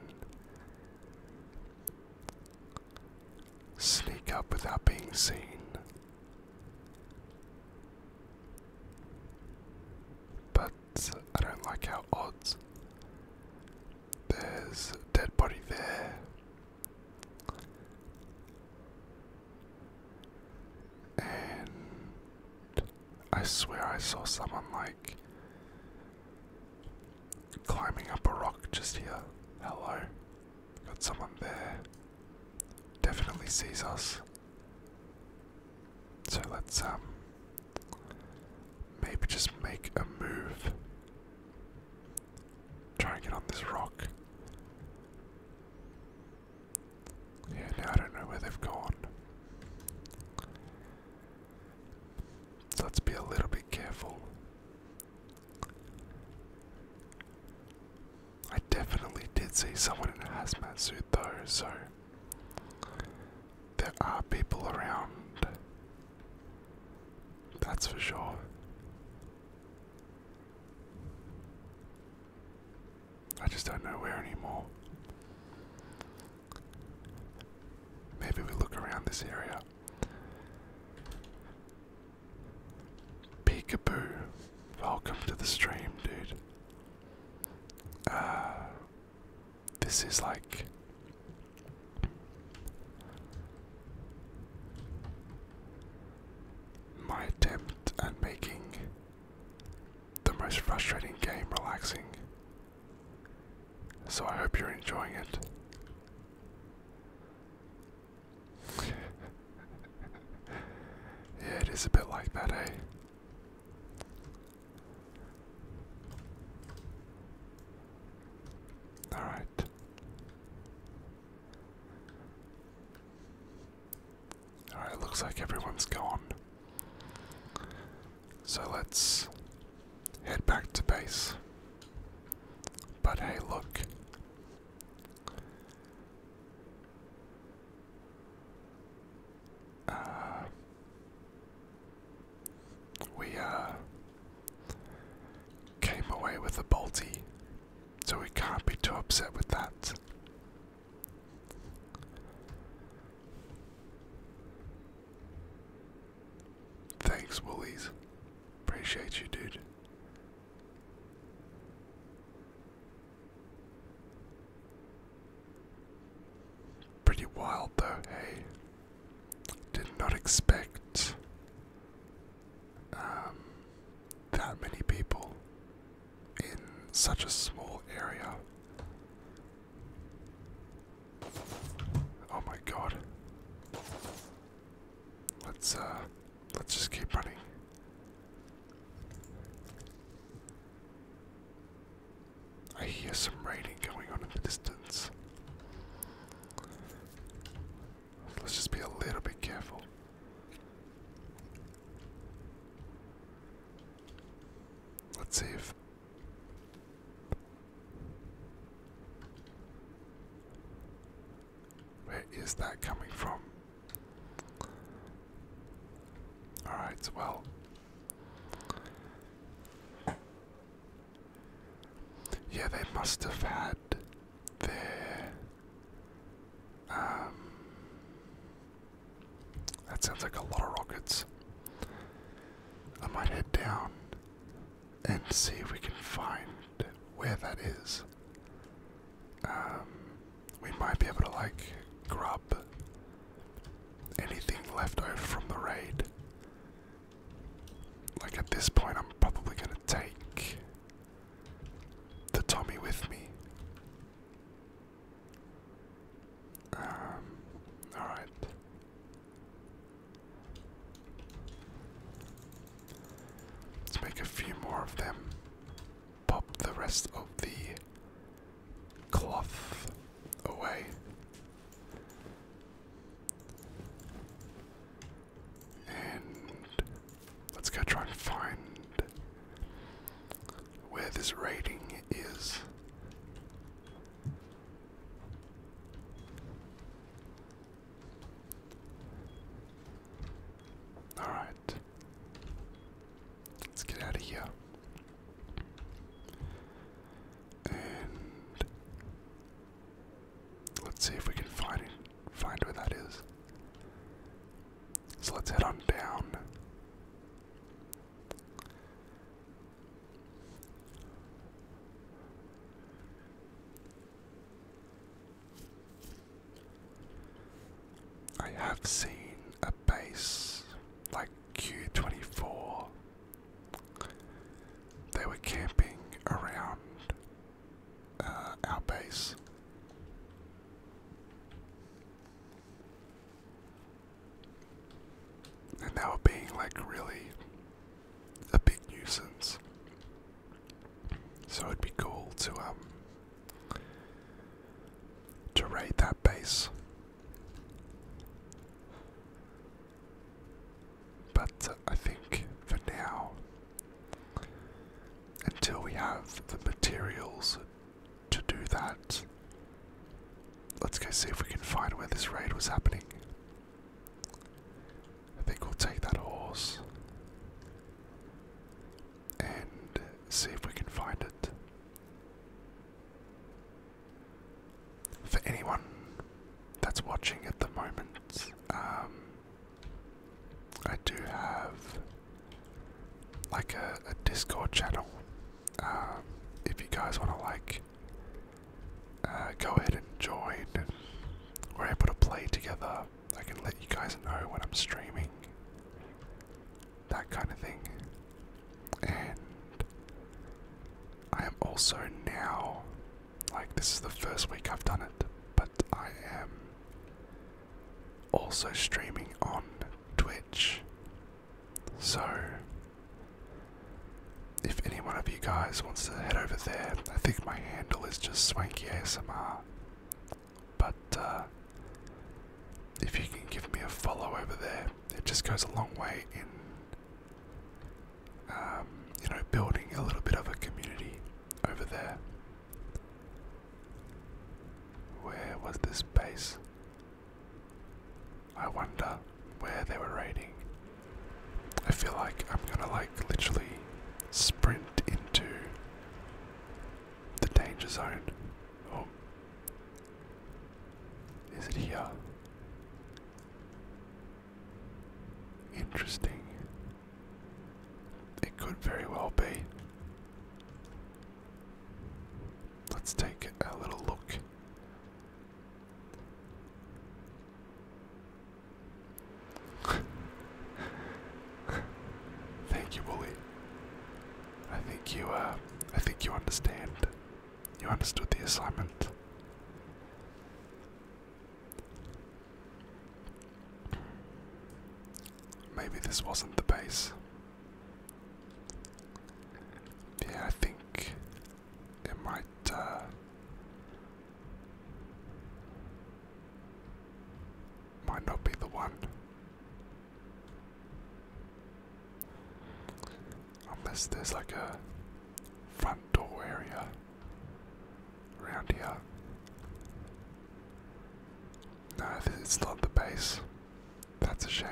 sneak up without being seen. But I don't like how odd There's a dead body there. And I swear I saw someone like climbing up a rock just here. Hello. Got someone there. Definitely sees us. So let's um maybe just make a move. Try and get on this rock. Yeah, now I don't know where they've gone. So let's be a little bit careful. I definitely did see someone in a hazmat suit though, so there are people around. That's for sure. I just don't know where anymore. Maybe we look around this area. Peekaboo. Welcome to the stream, dude. Uh, this is like. My attempt at making the most frustrating game relaxing. So I hope you're enjoying it. yeah, it is a bit like that, eh? Alright. Alright, looks like everyone's gone. So let's head back to base. But hey, look. Uh, we uh, came away with a Balti, so we can't be too upset with that. Thanks, Woolies. Appreciate you, dude. Pretty wild, though, hey? Did not expect um, that many people in such a small area. Oh my god. Let's uh let's just keep running. I hear some raining going on in the distance. Let's just be a little bit careful. Let's see if where is that coming from? Alright, well. Yeah, they must have had their. Um, that sounds like a lot of rockets. I might head down and see if we can find where that is. Um, we might be able to like grub anything left over from the raid. Like at this point, I'm probably gonna take the Tommy with me. Um, alright. Let's make a few more of them. Pop the rest of the cloth away. And let's go try and find where this rating is. All right. Let's get out of here. And let's see if we can find it, find where that is. So let's head on down. I have seen a base like Q24. They were camping around uh, our base and now being like really a big nuisance. So it'd be cool to um to raid that base. But uh, I think for now, until we have the materials to do that, Let's go see if we can find where this raid was happening. I think we'll take that horse and see if we can find it. For anyone that's watching at the moment, um, I do have like a, Discord channel. Um, if you guys want to like uh, go ahead and join. We're able to play together. I can let you guys know when I'm streaming. That kind of thing. And I am also now, like, this is the first week I've done it, but I am also streaming on Twitch. So if any one of you guys wants to head over there, I think my handle is just Swanky ASMR. But uh, if you can give me a follow over there, it just goes a long way in. Um, you know, building a little bit of a community over there. Where was this base? I wonder where they were raiding. I feel like I'm gonna like literally sprint into the danger zone. Oh. Is it here? Interesting. It could very well be. Let's take a little look Thank you, Wooly. I think you, uh, I think you understand. You understood the assignment. Maybe this wasn't the base. Yeah, I think it might uh, might not be the one. Unless there's like a front door area around here. No, it's not the base. That's a shame.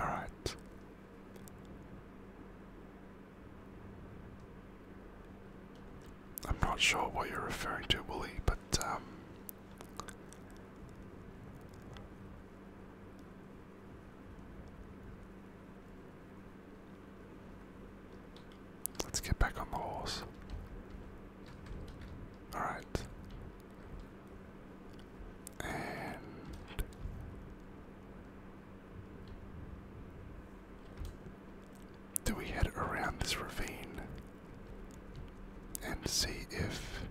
All right. I'm not sure what you're referring to, Wooly, but um, Let's get back on the horse. Alright and do we head around this ravine and see if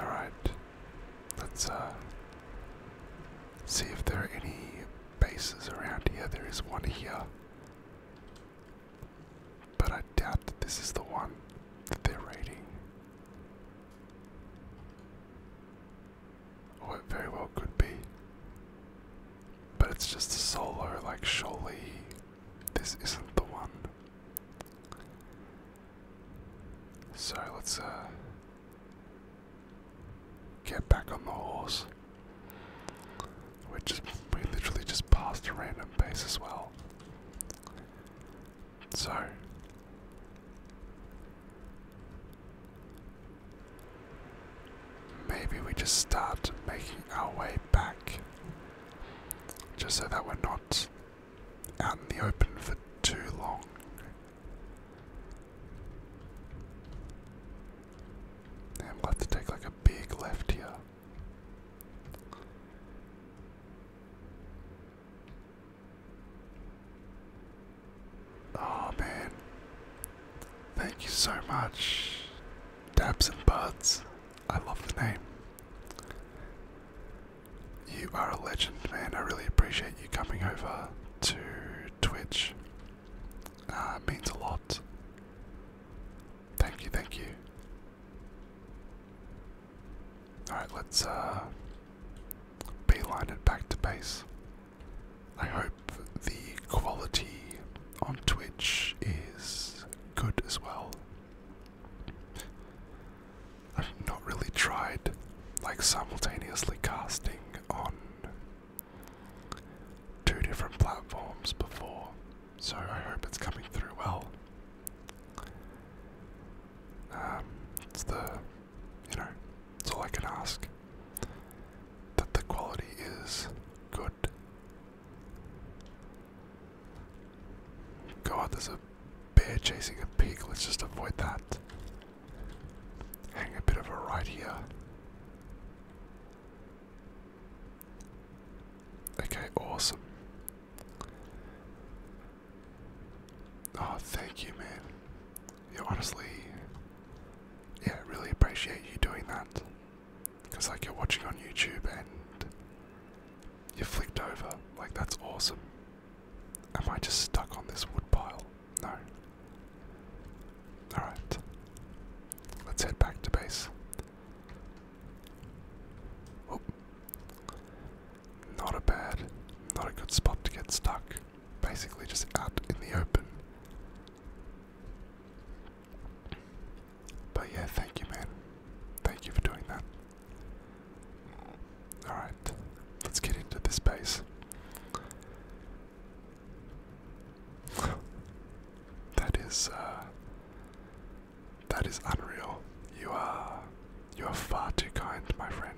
all right let's uh, see if there are any bases around here there is one here but I doubt that this is the one that they're rating, Or it very well could be. But it's just a solo, like, surely this isn't the one. So let's, uh, get back on the horse. We just we literally just passed a random base as well. So maybe we just start making our way back. Just so that we're not out in the open for too long. And we'll to take like a big left here. Oh man. Thank you so much. Dabs and Buds. I love the name. You are a legend, man. I really appreciate you coming over to Twitch. Uh, means a lot. Thank you, thank you. Alright, let's uh beeline it back to base. I hope the quality on Twitch is good as well. I've not really tried like simultaneously casting on two different platforms before so I hope it's coming through well. Um, it's the, you know, it's all I can ask. That the quality is good. God, there's a bear chasing a pig. Let's just avoid that. Hang a bit of a right here. Okay, awesome. Oh, thank you, man. You honestly, yeah, really appreciate you doing that. Because, like, you're watching on YouTube and you flicked over. Like, that's awesome. Am I just stuck on this wood pile? No. Alright. Let's head back to base. Oh. Not a bad, not a good spot to get stuck. Basically, just out in the open. But yeah, thank you, man. Thank you for doing that. Alright, let's get into this base. that is, uh, that is unreal. You are you are far too kind, my friend.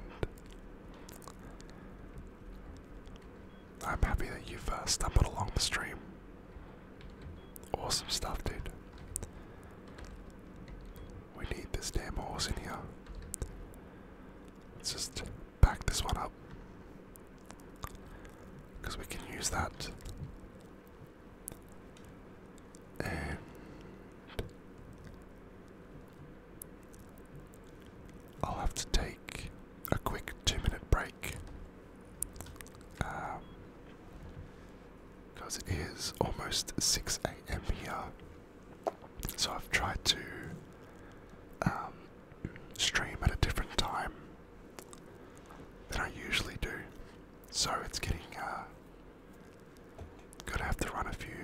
I'm happy that you've stumbled along the stream. Awesome stuff, dude. We need this damn horse in here. Let's just pack this one up. Because we can use that I'll have to take a quick two minute break because um, it is almost 6 a.m. here, so I've tried to um, stream at a different time than I usually do. So it's getting, uh, gonna have to run a few,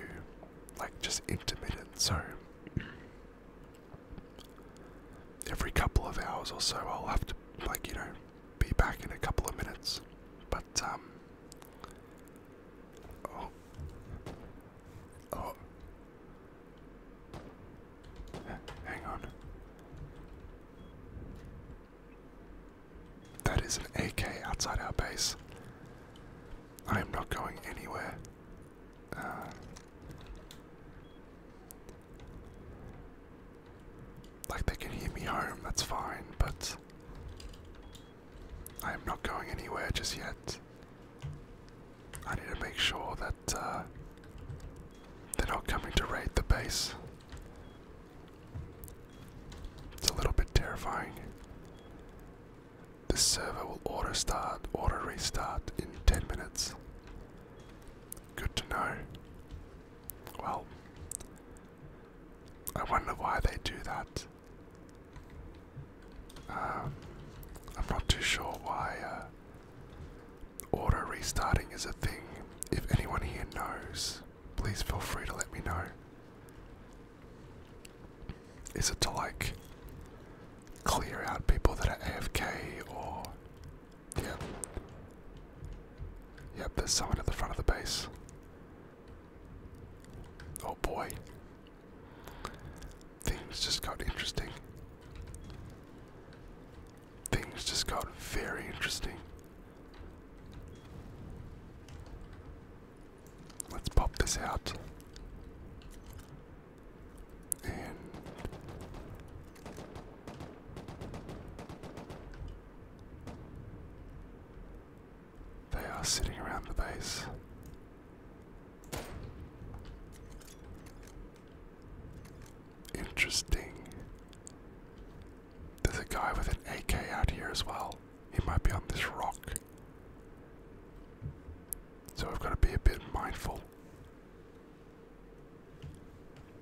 like just intermittent. So every couple of hours or so, I'll have to, like, you know, be back in a couple of minutes. But, um, oh, oh, Hang on. That is an AK outside our base. I am not going anywhere. Uh, like, they can hear me home, that's fine, but I am not going anywhere just yet. I need to make sure that uh, they're not coming to raid the base. It's a little bit terrifying. The server will auto start, auto restart in 10 minutes. Good to know. Well, I wonder why they do that. Um, I'm not too sure why uh, Auto restarting is a thing. If anyone here knows, please feel free to let me know. Is it to like clear out people that are AFK or. Yep. Yep, there's someone at the front of the base. Oh boy. Things just got interesting. Things just got very interesting. Let's pop this out. they are sitting around the base. Interesting. There's a guy with an AK out here as well. He might be on this rock. So I've got to be a bit mindful.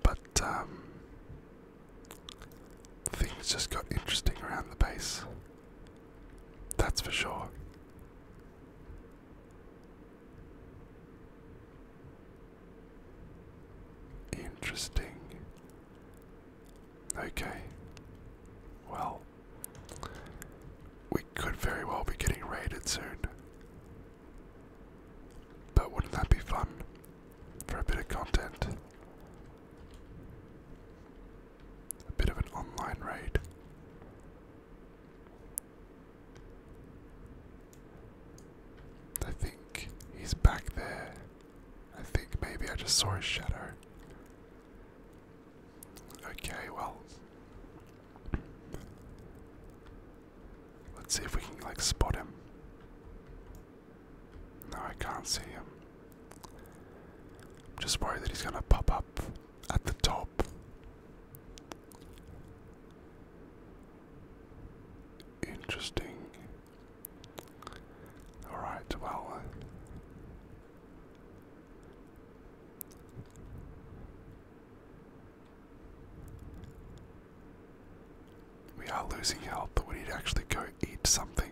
But, um, things just got interesting around the base. That's for sure. Interesting. Okay. Well, we could very well be getting raided soon. But wouldn't that be fun for a bit of content? A bit of an online raid. I think he's back there. I think maybe I just saw his shadow. Okay, well. Let's see if we can, like, spot him. No, I can't see him. I'm just worried that he's gonna pop up at the top. Interesting. Alright, well. Uh, we are losing health, but we need to actually go eat something.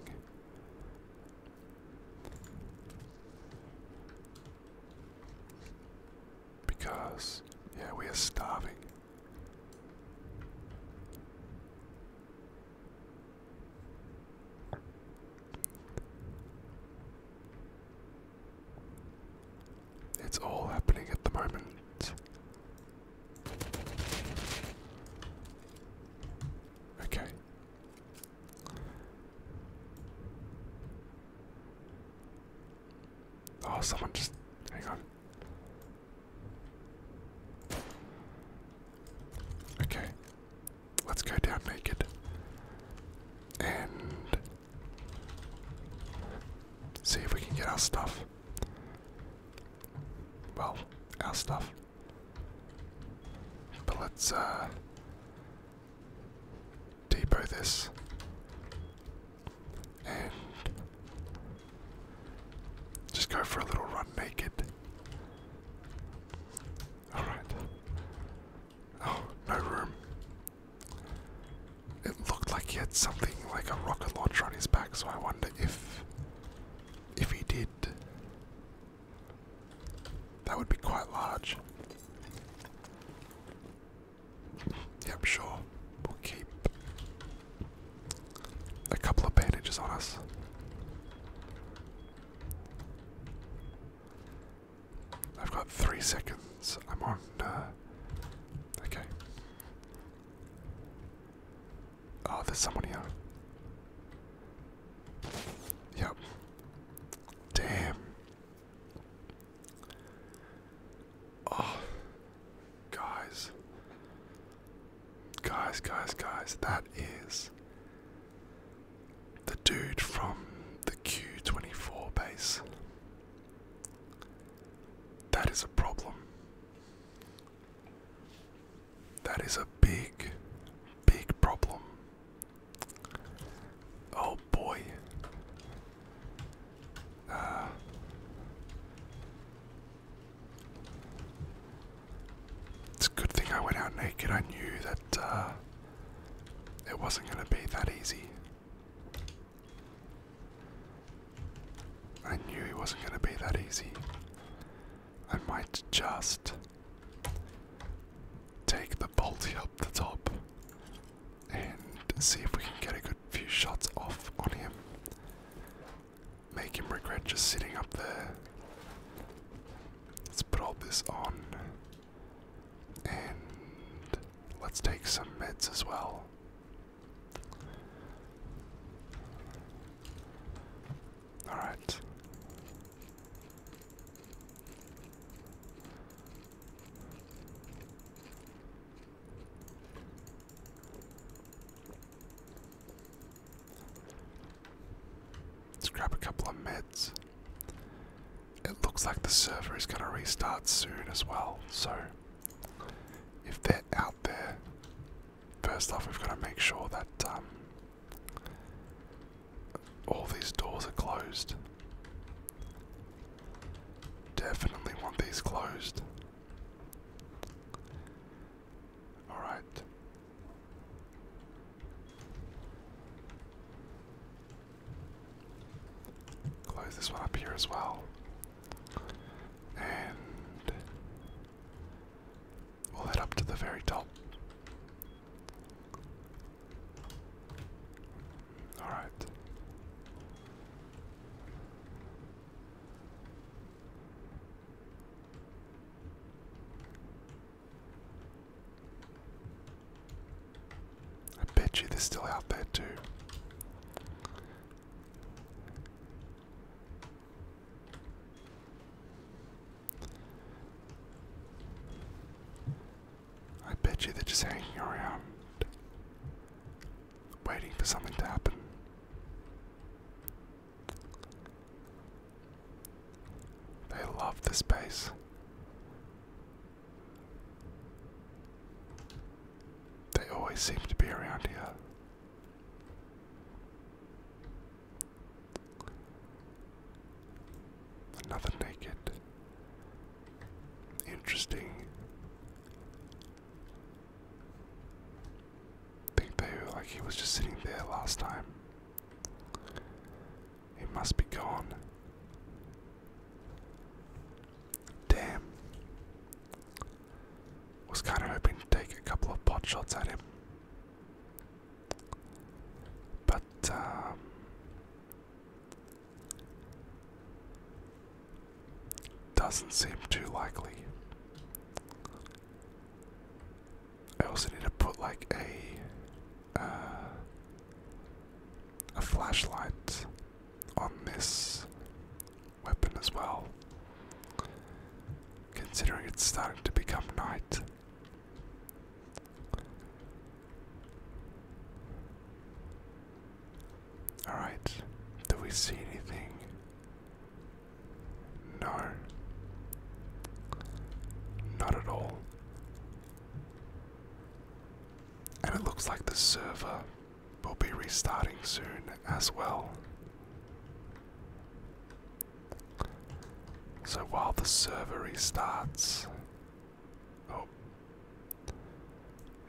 Because, yeah, we are starving. It's all happening at the moment. Okay. Oh, someone just. Hang on. Okay. Let's go down naked. And see if we can get our stuff. Well, our stuff. But let's uh depot this and just go for a little run naked. Alright. Oh, no room. It looked like he had something like a rocket launcher on his back, so I wonder if if he did. That would be quite large. Yep, sure. We'll keep a couple of bandages on us. I've got three seconds. I'm on. Uh, okay. Oh, there's someone here. Yep. Damn. Oh, Guys. Guys, guys, guys, that is the dude from the Q24 base. That is a problem. That is a big, big problem. Oh boy. Uh, it's a good thing I went out naked. I knew that uh, it wasn't going to be that easy. I knew it wasn't going to be that easy. I might just take the bolty up the top and see if we can get a good few shots off on him make him regret just sitting up there. Let's put all this on. And let's take some meds as well. Alright. Let's grab a couple of meds. It looks like the server is going to restart soon as well, so if they're out there, first off, we've got to make sure that um, all these doors are closed. Definitely want these closed. Alright. Close this one up here as well. And we'll head up to the very top. Alright. I bet you they're still out there too. I bet you they're just hanging around, waiting for something to happen. They love this space. They always seem to be around here. Another naked. Interesting think they like he was just sitting there last time. He must be gone. Damn. Was kind of hoping to take a couple of pot shots at him. But, um, Doesn't seem too likely. I also need to put like a uh, a flashlight on this weapon as well. Considering it's starting to become night. Alright, do we see anything? No. Not at all. And it looks like the server will be restarting soon as well. So while the server restarts. Oh.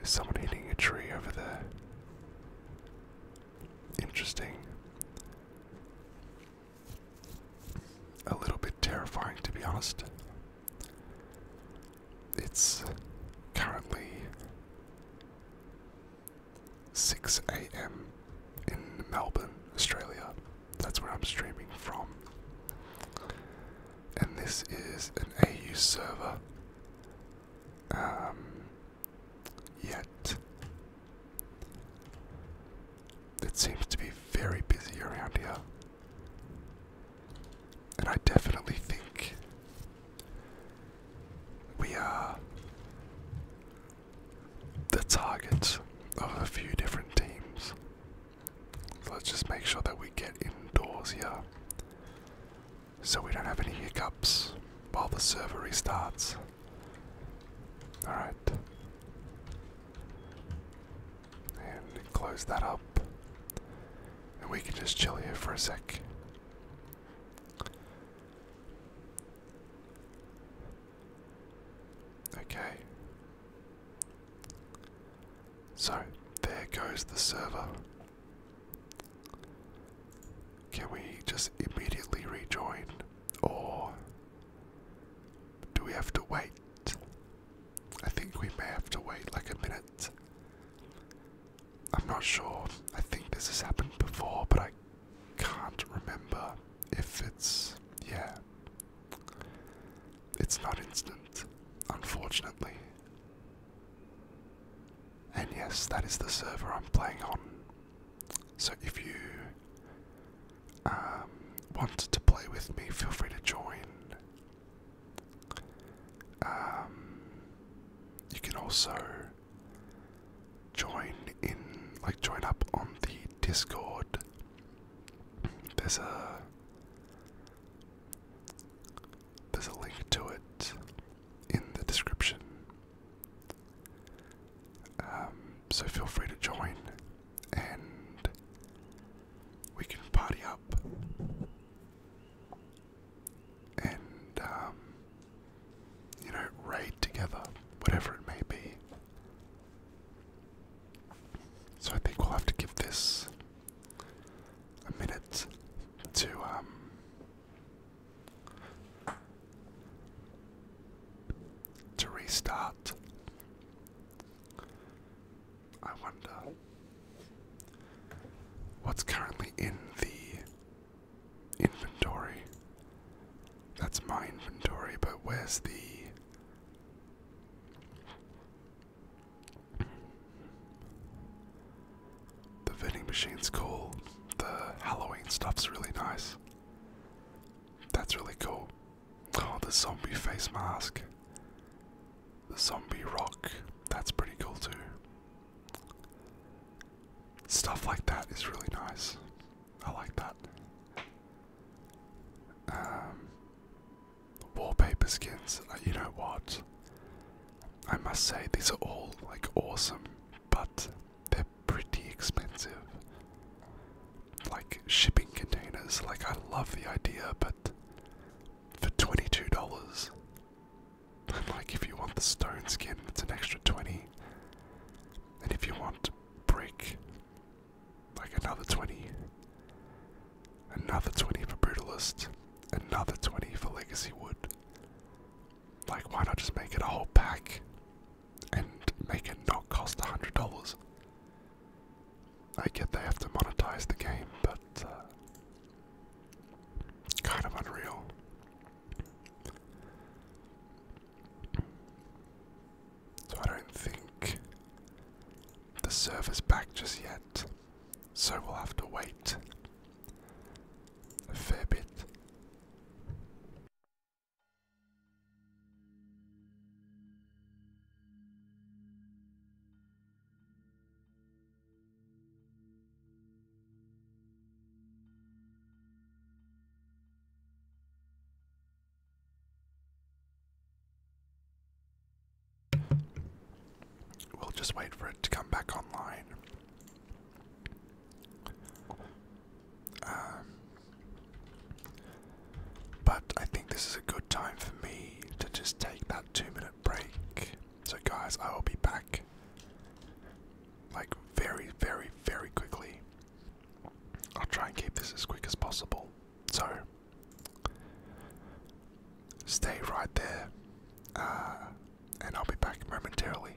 Is someone hitting a tree over there? Interesting a little bit terrifying, to be honest. It's currently 6 a.m. in Melbourne, Australia. That's where I'm streaming from. And this is an AU server. Um, yet. It seems to be very busy around here. And I definitely think we are the target of a few different teams. So let's just make sure that we get indoors here so we don't have any hiccups while the server restarts. Alright. And close that up. And we can just chill here for a sec. Okay. So, there goes the server. Can we just immediately rejoin? Or do we have to wait? I think we may have to wait like a minute. I'm not sure. I think this has happened before, but I can't remember if it's. Yeah. It's not instant, unfortunately. And yes, that is the server I'm playing on. So if you um, to play with me, feel free to join. Um, you can also join in, like, join up on the Discord. There's a there's a link to it in the description. Um, so feel free to join and we can party up and, um, you know, raid together, whatever it may be. So I think we'll have to give this a minute to, um, to restart. I wonder what's currently in the inventory. That's my inventory, but where's the the vending machine's cool. The Halloween stuff's really nice. That's really cool. Oh, the zombie face mask. The zombie rock. That's pretty cool too. Stuff like that is really nice. I like that. Um, wallpaper skins. Uh, you know what? I must say these are all like awesome, but they're pretty expensive. Like shipping containers, like I love the idea, but for $22. like if you want the stone skin, it's an extra 20. And if you want brick, like another 20. Another 20 for Brutalist, another 20 for Legacy Wood. Like, why not just make it a whole pack? and make it not cost $100. I get they have to monetize the game, but uh, kind of unreal. So I don't think the server's back just yet, so we'll have to wait a fair bit. We'll just wait for it to come back online. Um, but I think this is a good time for me to just take that two minute break. So, guys, I will be back like very, very, very quickly. I'll try and keep this as quick as possible. So, stay right there, uh, and I'll be back momentarily.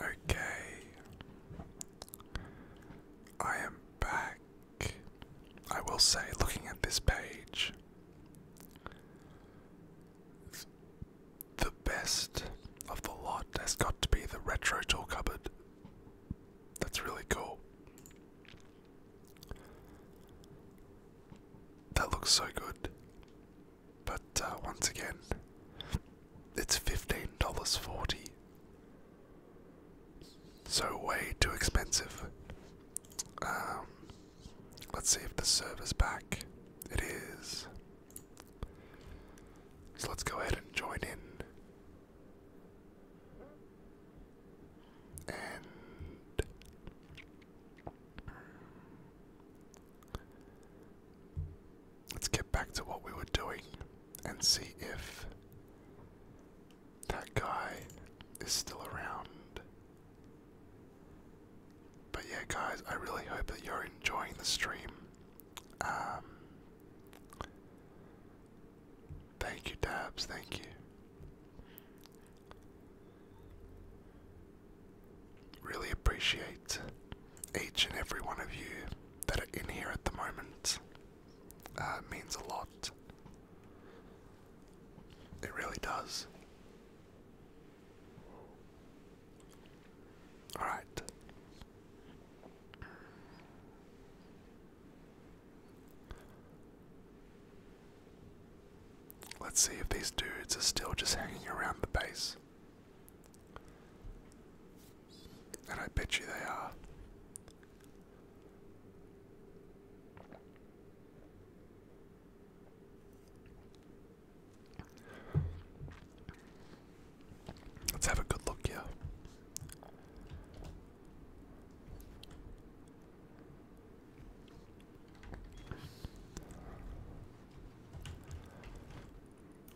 Okay. I am back. I will say, looking at this page, the best of the lot has got to be the retro tool cupboard. That's really cool. That looks so good. But uh, once again, it's $15.40. So, way too expensive. Um, let's see if the server's back. It is. So, let's go ahead and join in. And. Let's get back to what we were doing and see if that guy is still around. But yeah, guys, I really hope that you're enjoying the stream. Um, thank you, Dabs, thank you. Really appreciate each and every one of you that are in here at the moment uh, means a lot. It really does. Alright. Let's see if these dudes are still just hanging around the base. And I bet you they are. Let's have a good look here.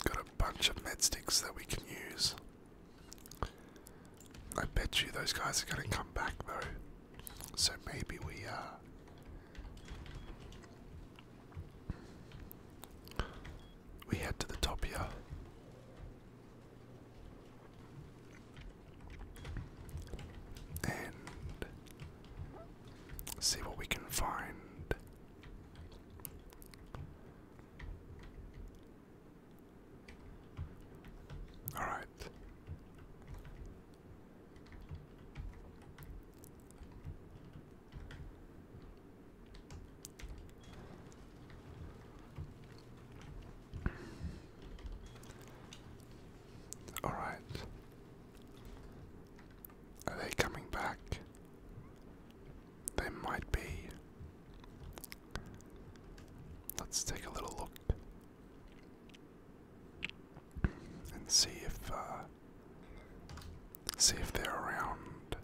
Got a bunch of med sticks that we can use. I bet you those guys are going to come back though. So maybe we uh we head to the top here. And see what we can find. All right. All right. Are they coming back? They might be. Let's take a little look and see if uh, see if they're around.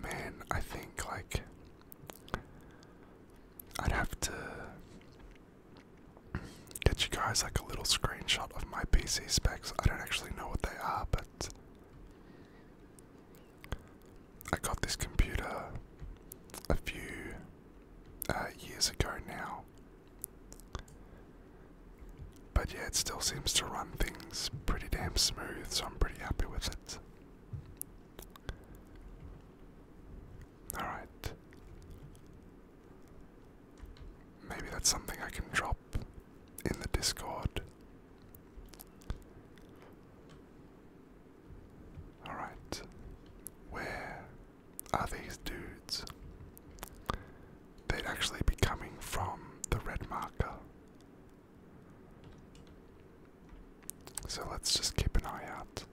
Man, I think like I'd have to get you guys like a little screenshot of my PC specs. I don't actually know what they are, but I got this computer a few uh, years ago now. But yeah, it still seems to run things pretty damn smooth, so I'm pretty happy with it. Alright. Maybe that's something I can drop in the Discord. Alright, where are these dudes? They'd actually be coming from the red marker. So let's just keep an eye out.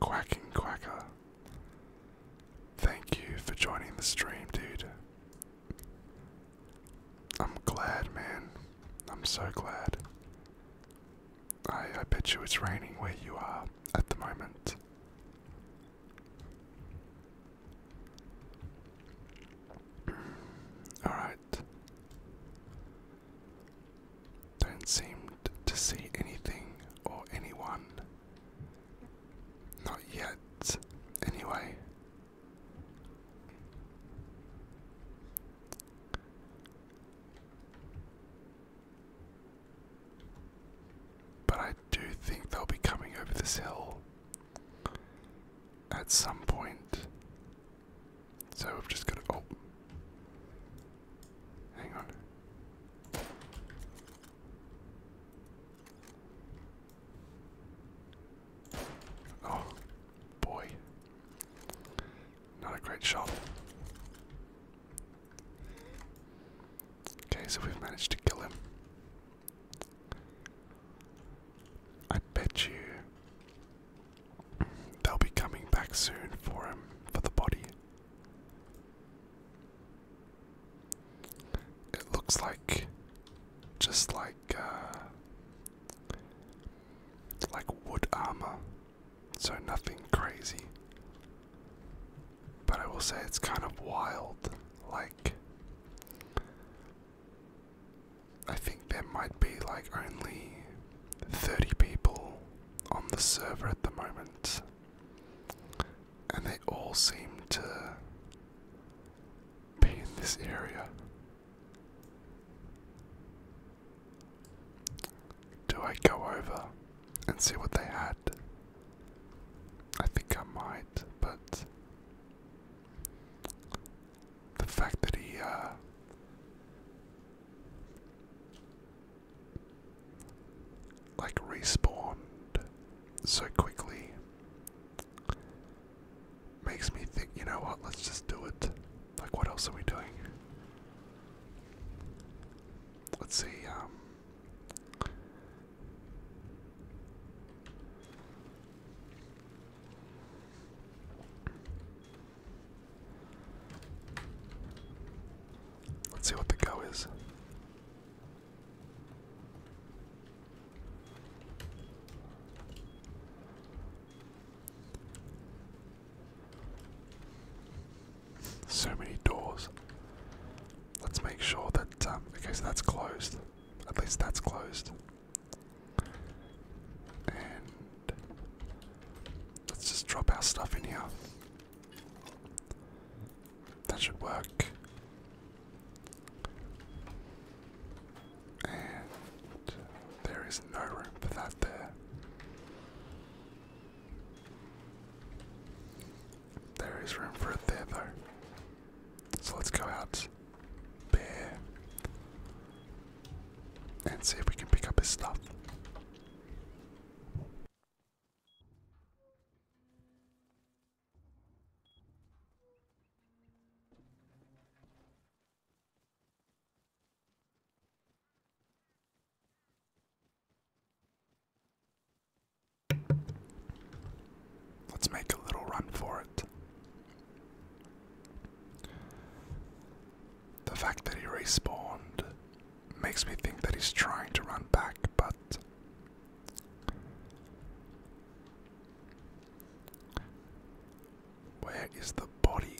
Quacking Quacker. Thank you for joining the stream, dude. I'm glad, man. I'm so glad. I, I bet you it's raining where you are at the moment. Alright. Don't seem to see anything or anyone. Not yet, anyway. But I do think they'll be coming over this hill at some point. So I've just got to. Oh. Hang on. Oh, boy. Not a great shot. Okay, so we've managed to kill him. I bet you They'll be coming back soon for him, um, for the body. It looks like just like uh like wood armor. So nothing crazy. But I will say it's kind of wild. Like I think there might be like only 30 people on the server at the moment, and they all seem to be in this area. Do I go over and see what they had? I think I might, but the fact that he, uh, like respawned so quickly makes me think, you know what, let's just do it. Like, what else are we doing? Let's see, um, Let's see what the go is. So many doors. Let's make sure that, um, okay, so that's closed. At least that's closed. And let's just drop our stuff in here. That should work. And there is no room for that there. There is room for it there though. So let's go out there and see if we can pick up his stuff. Let's make a little run for it. The fact that he respawned makes me think that he's trying to run back, but where is the body?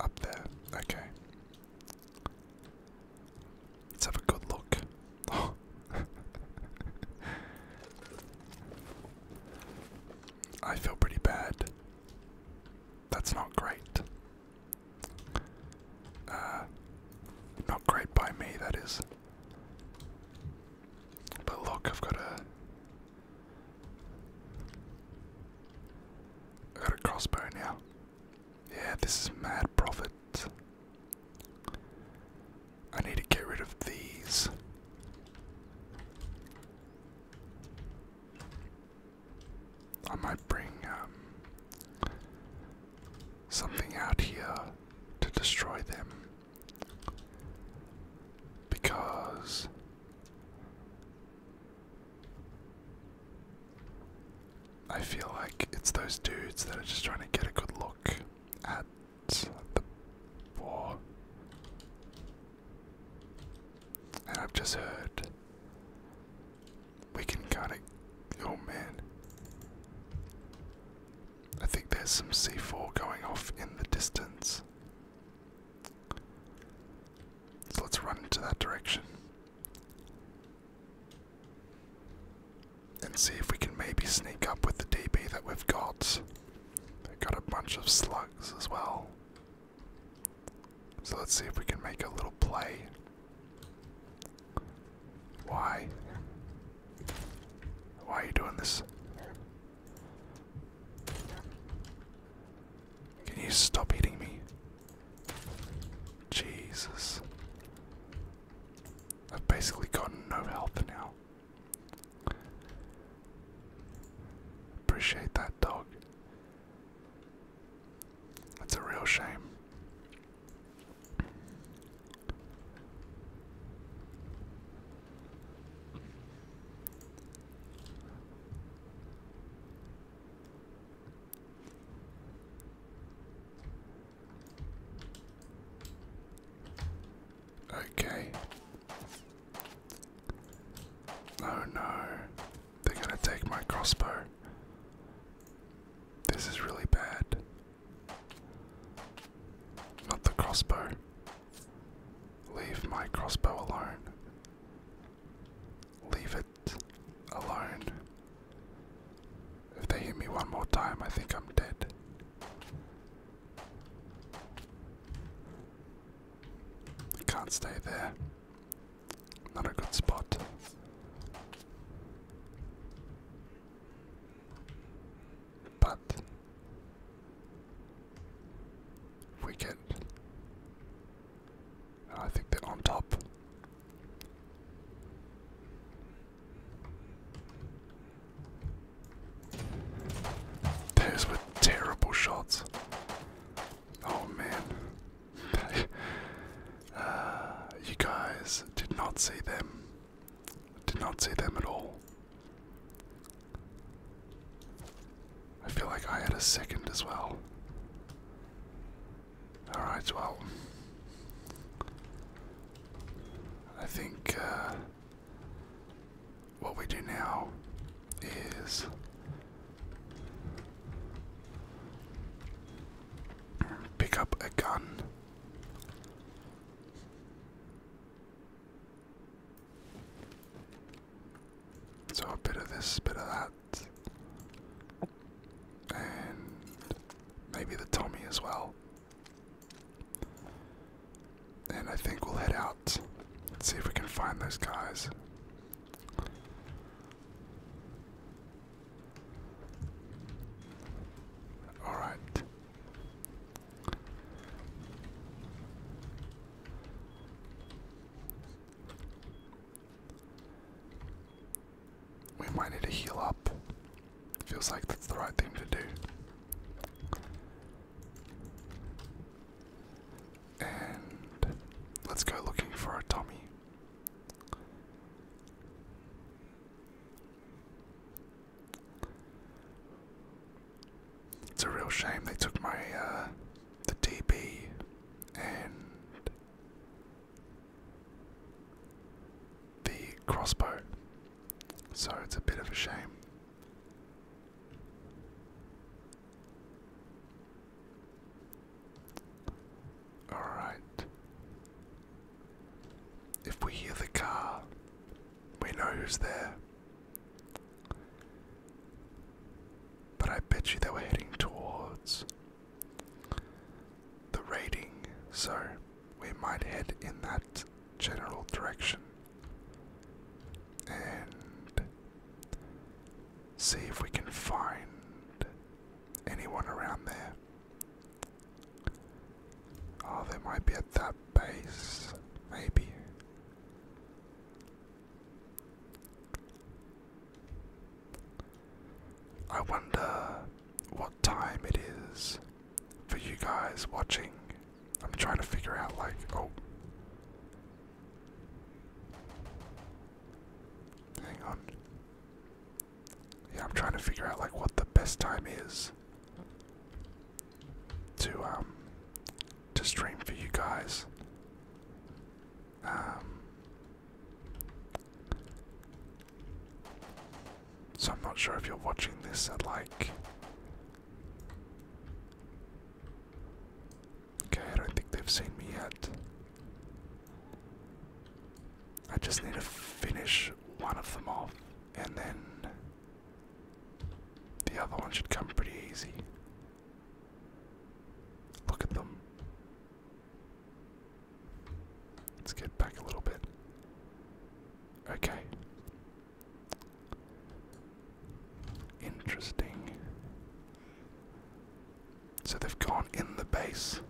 Up there. Okay. Let's have a good look. I feel pretty bad. That's not great. Uh, not great by me, that is. But look, I've got a. I've got a crossbow now. Yeah, this is mad profit. I need to get rid of these. I might bring um, something out here to destroy them because I feel like it's those dudes that are just trying to get a good look at the war. And I've just heard we can kind of. Oh man. I think there's some C4 going off in the distance. So let's run into that direction. And see if we can maybe sneak up with the DB that we've got. They've got a bunch of slugs as well. So let's see if we can make a little play. Why? Why are you doing this? Can you stop eating me? Jesus. I've basically got no health now. Appreciate that, dog. That's a real shame. Okay. Oh no. They're gonna take my crossbow. This is really bad. Not the crossbow. Leave my crossbow alone. Leave it alone. If they hit me one more time, I think I'm dead. Can't stay there. Not a good spot. But we get. I think they're on top. Those were terrible shots. Oh man. Uh, you guys did not see them. Did not see them at all. I feel like I had a second as well. Alright, well. I think uh, what we do now is. Pick up a gun. So a bit of this, a bit of that. And maybe the Tommy as well. And I think we'll head out. Let's see if we can find those guys. All right. We might need to heal up. Feels like that's the right thing to do. And let's go looking for a Tommy. It's a real shame they took my uh, the DB and the crossbow. So it's a bit of a shame. Alright. If we hear the car, we know who's there. But I bet you they were heading towards the raiding, so we might head in that general direction and see if we can find anyone around there. Oh, they might be at that base. Maybe. I wonder what time it is for you guys watching. I'm trying to figure out, like, oh. Hang on yeah, I'm trying to figure out like what the best time is to um to stream for you guys. Um, so I'm not sure if you're watching this at like. Okay, I don't think they've seen me yet. I just need to finish one of them off, and then the other one should come pretty easy. Look at them. Let's get back a little bit. Okay. Interesting. So they've gone in the base.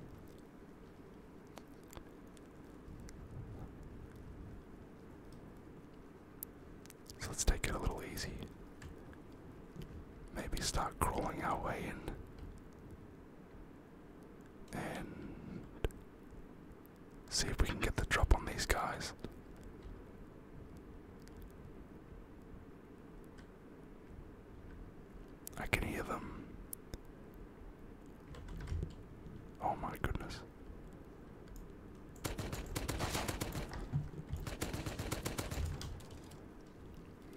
So let's take it a little easy. Maybe start crawling our way in. And see if we can get the drop on these guys. I can hear them Oh my goodness.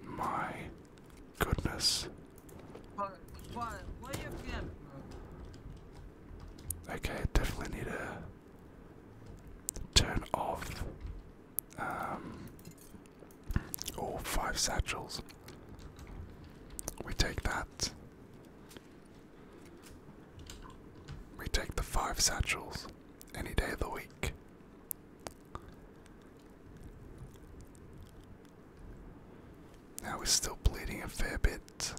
My goodness. Okay, definitely need to turn off um, Oh, five satchels. We take that. We take the five satchels any day of the week. Now we're still bleeding a fair bit,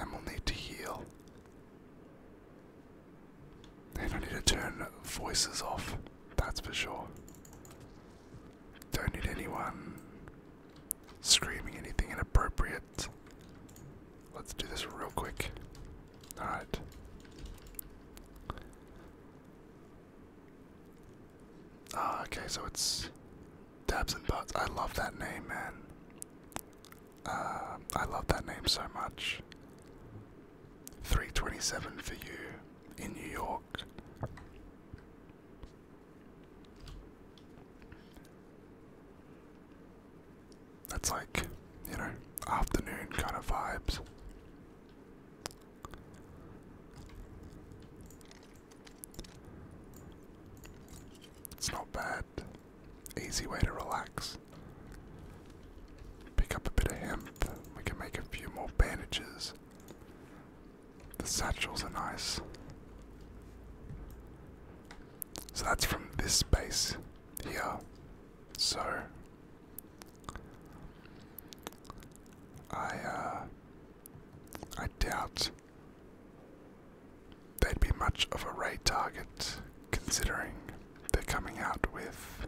and we'll need to heal. And I need to turn voices off, that's for sure. Don't need anyone screaming anything inappropriate. Let's do this real quick. Alright. Ah, okay, so it's Dabs and Butts. I love that name, man. Uh, I love that name so much. 327 for you in New York. That's like, you know, afternoon kind of vibes. It's not bad. Easy way to relax. Pick up a bit of hemp. We can make a few more bandages. The satchels are nice. So that's from this space here. So I uh, I doubt they'd be much of a ray target considering they're coming out with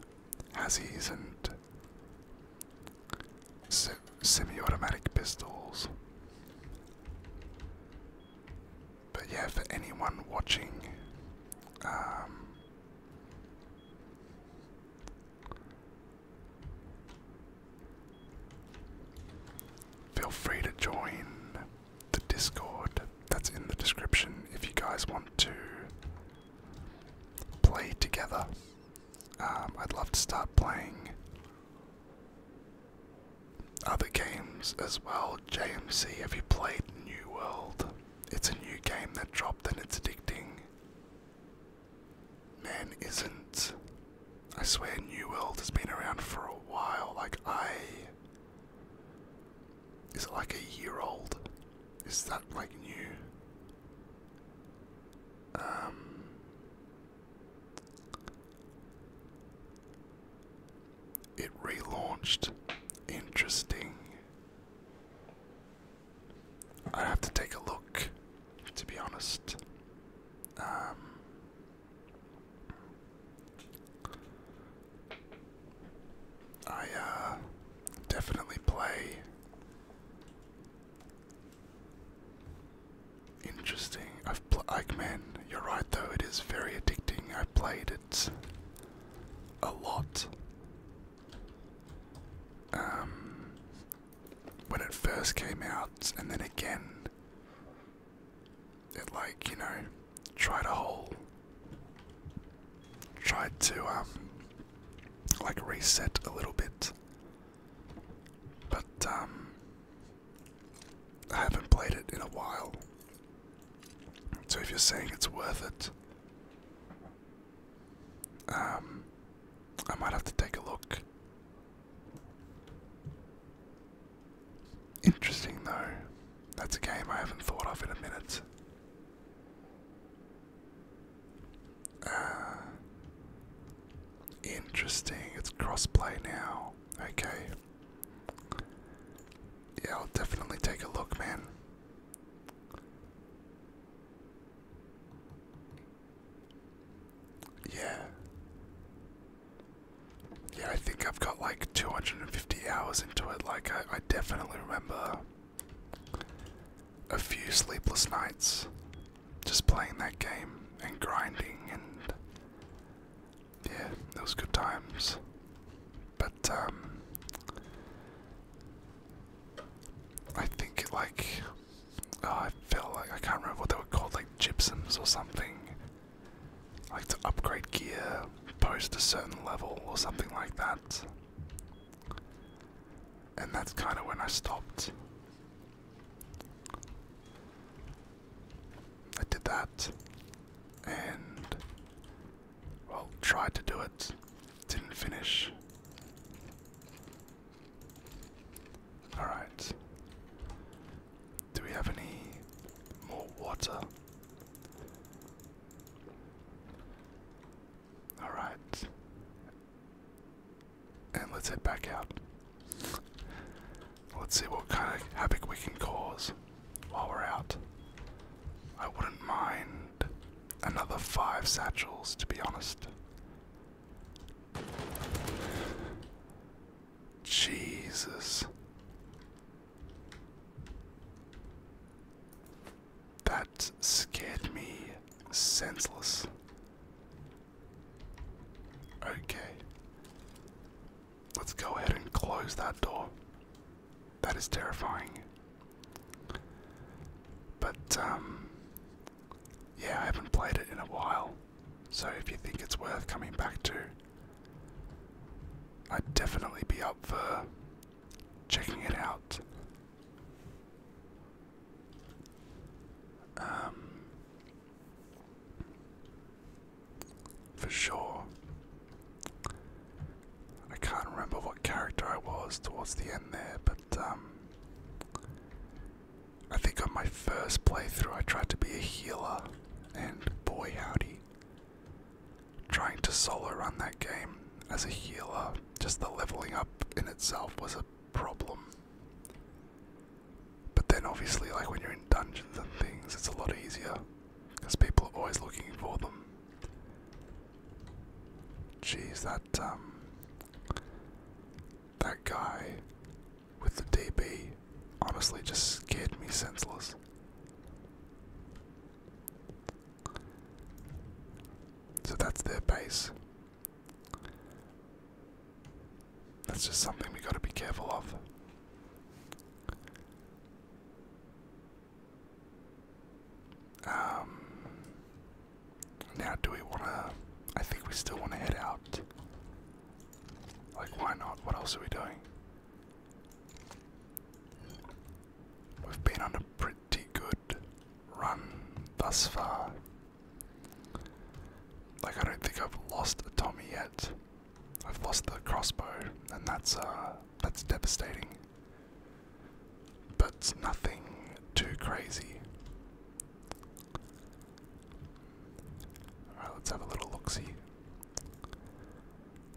Hazzies and semi-automatic pistols. But yeah, for anyone watching, um, feel free to join the Discord that's in the description if you guys want to play together. Um, I'd love to start playing other games as well, JMC, have you played New World? It's a new game that dropped and it's addicting. Man isn't. I swear New World has been around for a while. Like, I. Is it like a year old? Is that like new? Um. It relaunched. Interesting. i have to take a look, to be honest. Um, I uh, definitely play Interesting. I've pl like men. you're right though. It is very addicting. I played it a lot. Um, when it first came out, and then again, it like you know tried a whole, tried to um, like reset a little bit. But um, I haven't played it in a while. So if you're saying it's worth it, um I might have to take a look. Interesting though. That's a game I haven't thought of in a minute. Uh, interesting. It's crossplay now. Okay. Yeah, I'll definitely take a look, man. Yeah. Yeah, I think I've got like 250 hours into it. Like, I definitely remember a few sleepless nights just playing that game and grinding and yeah, those good times. But um I think it like oh, I felt like I can't remember what they were called, like gypsies or something. Like to upgrade gear post a certain level or something like that. And that's kind of when I stopped. I did that and, well, tried to do it, didn't finish. Alright. Do we have any more water? Alright. And let's head back out. Let's see what kind of havoc we can cause while we're out. I wouldn't mind another five satchels, to be honest. Jesus. That scared me senseless. Okay. Let's go ahead and close that door. That is terrifying. But, um, yeah, I haven't played it in a while. So if you think it's worth coming back to, I'd definitely be up for checking it out. Um, for sure. I can't remember what character I was towards the end there, but um, I think on my first playthrough I tried to be a healer, and boy howdy. Trying to solo run that game as a healer, just the leveling up in itself was a problem. But then obviously like when you're in dungeons and things it's a lot easier because people are always looking for them. Jeez, that um that guy with the DB honestly just scared me senseless. So that's their base. That's just something we gotta be careful of. Um, now, do we wanna? I think we still wanna head out. Like, why not? What else are we doing? We've been on a pretty good run thus far. Like I don't think I've lost Tommy yet. I've lost the crossbow, and that's uh that's devastating. But it's nothing too crazy. Alright, let's have a little look see.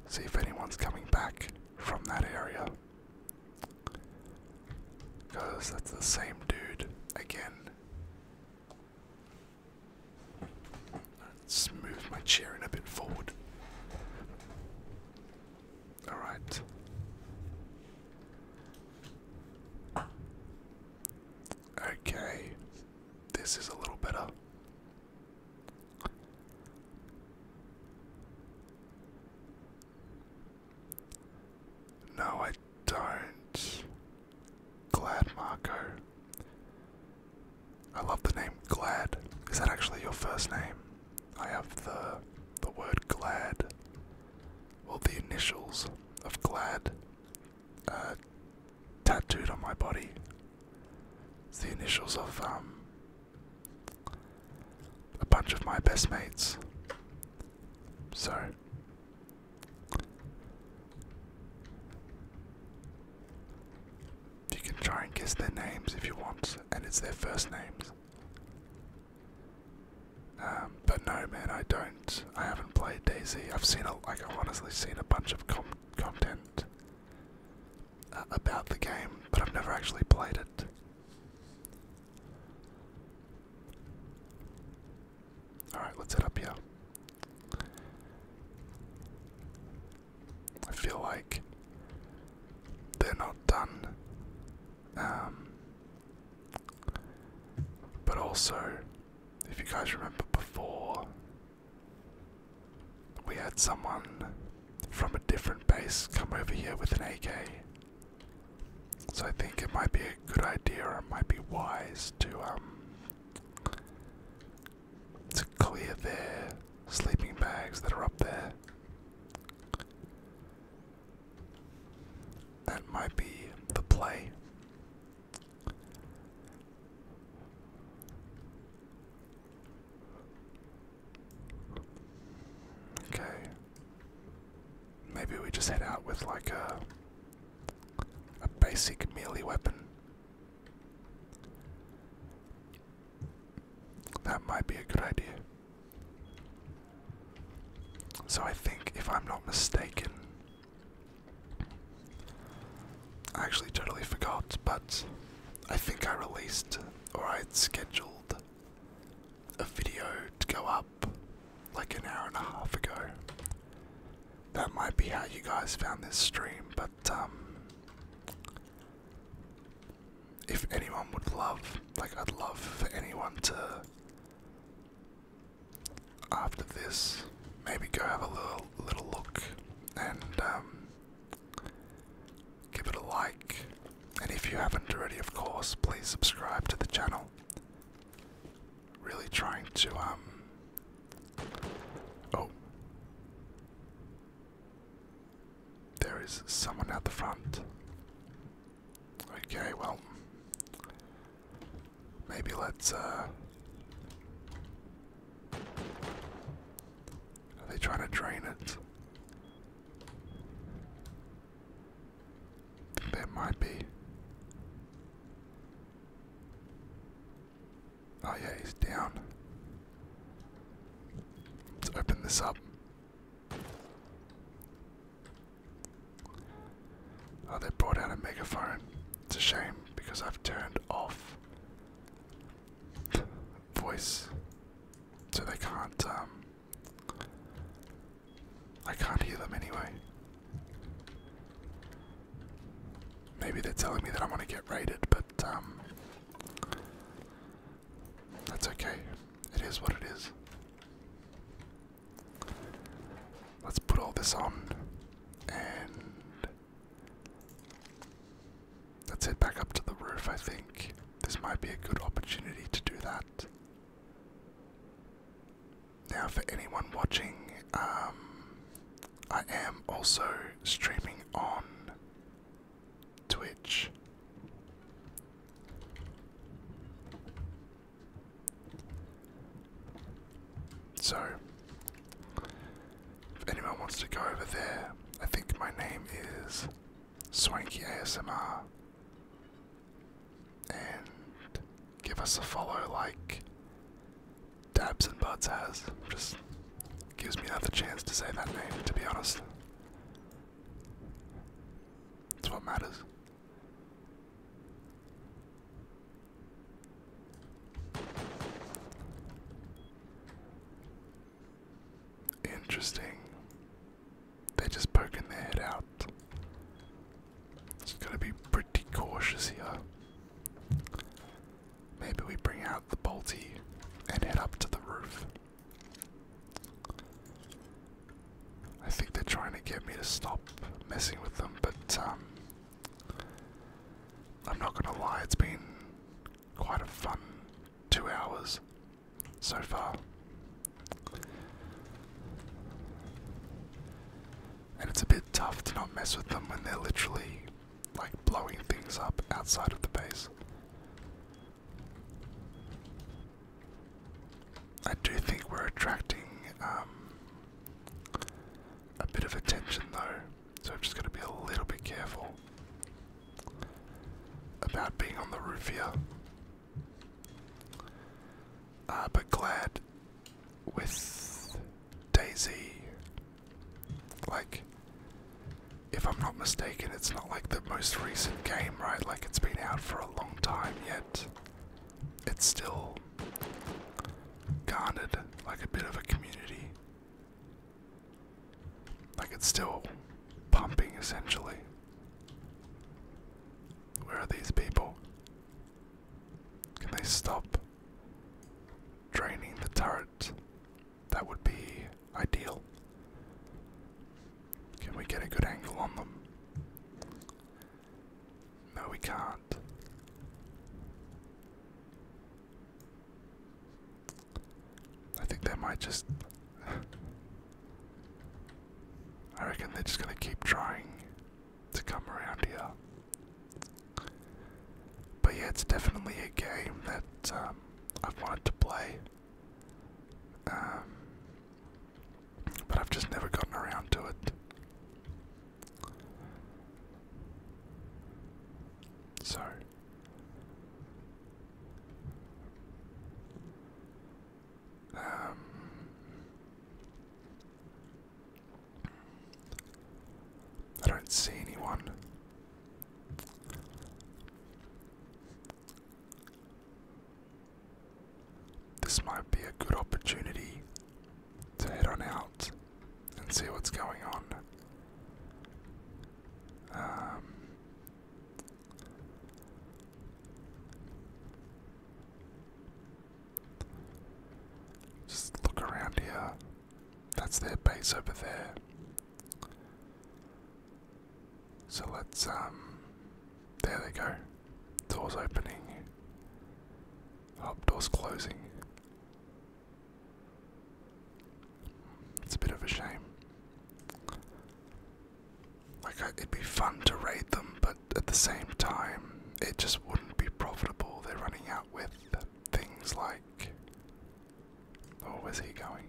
See if anyone's coming back from that area. Because that's the same dude again. Let's move my chair in a bit forward. All right. Okay, this is a little better. No, I don't. Glad Marco. I love the name Glad. Is that actually your first name? I have the the word glad. Well, the initials of glad uh, tattooed on my body. It's the initials of um a bunch of my best mates. So you can try and guess their names if you want, and it's their first names. Um, but no, man, I don't. I haven't played DayZ. I've seen, a, like, I've honestly seen a bunch of content uh, about the game, but I've never actually played it. Alright, let's head up here. I feel like they're not done. Um, but also, if you guys remember before, we had someone from a different base come over here with an AK. So I think it might be a good idea, or it might be wise to um, to clear their sleeping bags that are up there. That might be the play. Okay. Maybe we just head out with like a a basic melee weapon. That might be a good idea. So I think, if I'm not mistaken, I actually totally forgot, but I think I released or I'd scheduled a video to go up like an hour and a half ago that might be how you guys found this stream, but um if anyone would love, like I'd love for anyone to after this maybe go have a little little look and um give it a like and if you haven't already of course please subscribe to the channel really trying to um oh there is someone at the front. Okay, well maybe let's uh are they trying to drain it? There might be. Oh yeah, he's down. Let's open this up. Oh, they brought out a megaphone. It's a shame because I've turned off voice so they can't, um, I can't hear them anyway. Maybe they're telling me that I'm gonna get raided, but um, that's okay. It is what it is. Let's put all this on and let's head back up to the roof, I think. This might be a good opportunity to do that. Now, for anyone watching, um, I am also streaming on Twitch. So, if anyone wants to go over there, I think my name is Swanky ASMR. And give us a follow, like, Dabs and Buds has. Just gives me another chance to say that name, to be honest. It's what matters. Interesting. They're just poking their head out. Just gotta be pretty cautious here. Maybe we bring out the bolty and head up to the roof. I think they're trying to get me to stop messing with them, but um, I'm not gonna lie, it's been quite a fun two hours so far. And it's a bit tough to not mess with them when they're literally like blowing things up outside of the base. I do think we're attracting um, a bit of attention though, so I've just going to be a little bit careful about being on the roof here. Uh, but glad with Daisy. Like, if I'm not mistaken, it's not like the most recent game, right? Like, it's been out for a long time, yet it's still garnered like a bit of a community. Like, it's still pumping essentially. Where are these people? Can they stop? draining the turret. That would be ideal. Can we get a good angle on them? No, we can't. I think they might just. I reckon they're just gonna keep trying to come around here. But yeah, it's definitely a game that um, I've wanted to play. Um, but I've just never gotten around to it. So. Um, I don't see anyone. This might be a good opportunity to head on out and see what's going on. Um, just look around here. That's their base over there. So let's, um, there they go. Door's opening. Oh, door's closing. It's a bit of a shame. Like, it'd be fun to raid them, but at the same time, it just wouldn't be profitable. They're running out with things like back. Or he going?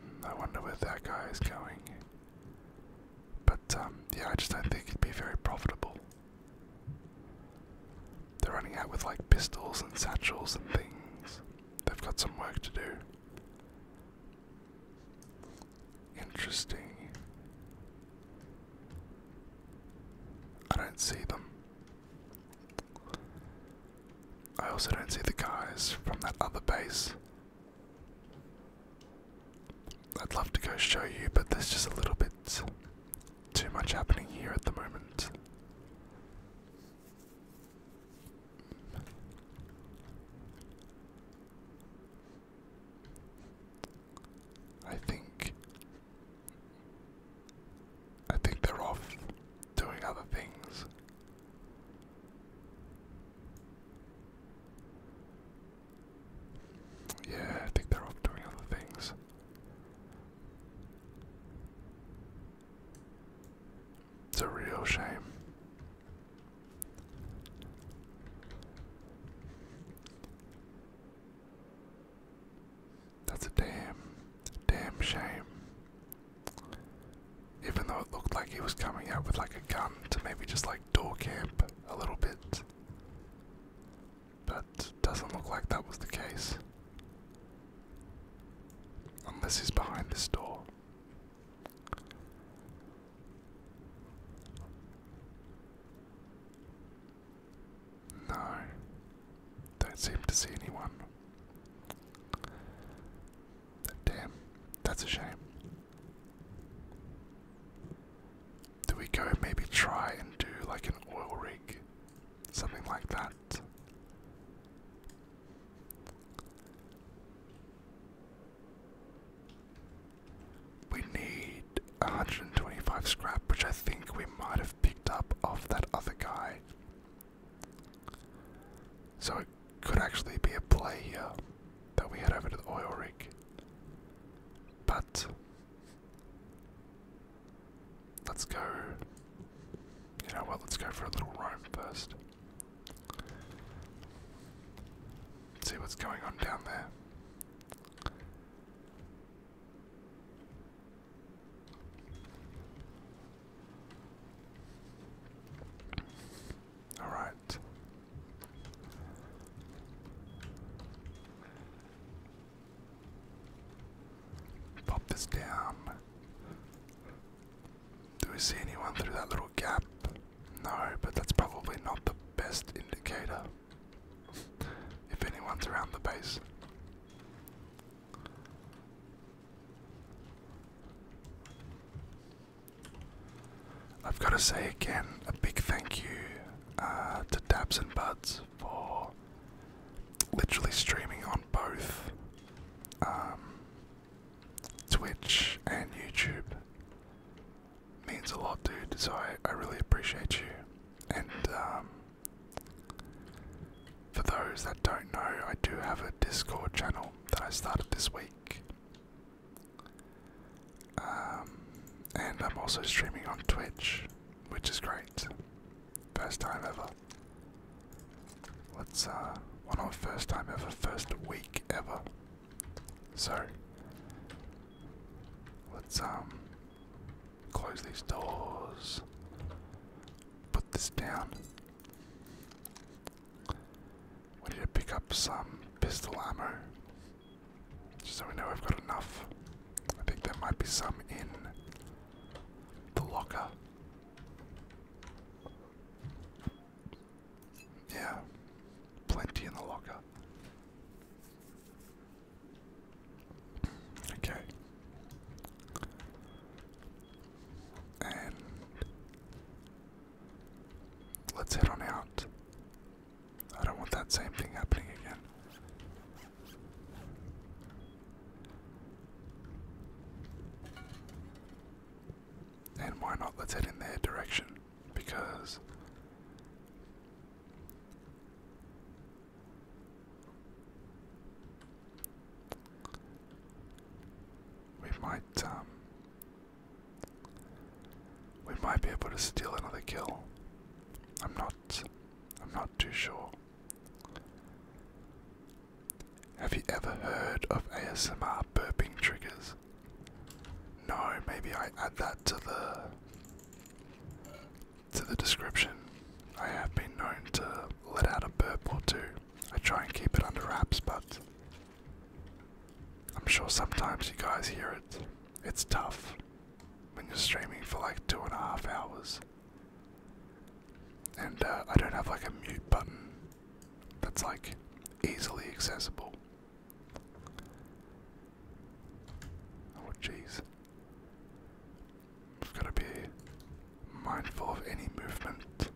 Hmm, I wonder where that guy is going. But um, yeah, I just don't think it'd be very profitable. They're running out with like pistols and satchels and things. They've got some work to do. Interesting. I do not see them. I also don't see the guys from that other base. I'd love to go show you, but there's just a little bit too much happening here at the moment. I think I think they're off doing other things. Yeah, I think they're off doing other things. It's a real shame. That's a damn, damn shame. Even though it looked like he was coming out with like a gun to maybe just like door camp a little bit. But doesn't look like that was the case. Unless he's behind this door. No, don't seem to see anyone. Damn, that's a shame. Do we go maybe try and do like an oil rig? Something like that. We need 125 scrap, which I think we might have picked up off that other guy. So it could actually be a play here that we head over to the oil rig. But let's go. You know what? Let's go for a little roam first. See what's going on down there. All right. Pop this down. Do we see anyone through that little gap? No, but that's probably not the best indicator if anyone's around the base. I've got to say again a big thank you uh, to Dabs and Buds for literally streaming on both um, Twitch and YouTube means a lot, dude. So I, I really appreciate you. And um, for those that don't know, I do have a Discord channel that I started this week. Um, and I'm also streaming on Twitch, which is great. First time ever. let uh, well, not first time ever, first week ever. Sorry. Let's um close these doors. Put this down. We need to pick up some pistol ammo. Just so we know we've got enough. I think there might be some in the locker. Yeah, plenty in the locker. Okay. let's head on out. I don't want that same thing happening again. And why not? Let's head in their direction because we might, um, we might be able to steal another kill. I'm not, I'm not too sure. Have you ever heard of ASMR burping triggers? No, maybe I add that to the to the description. I have been known to let out a burp or two. I try and keep it under wraps, but I'm sure sometimes you guys hear it. It's tough when you're streaming for like two and a half hours. And uh, I don't have like a mute button that's like easily accessible. Oh, jeez. Just gotta be mindful of any movement.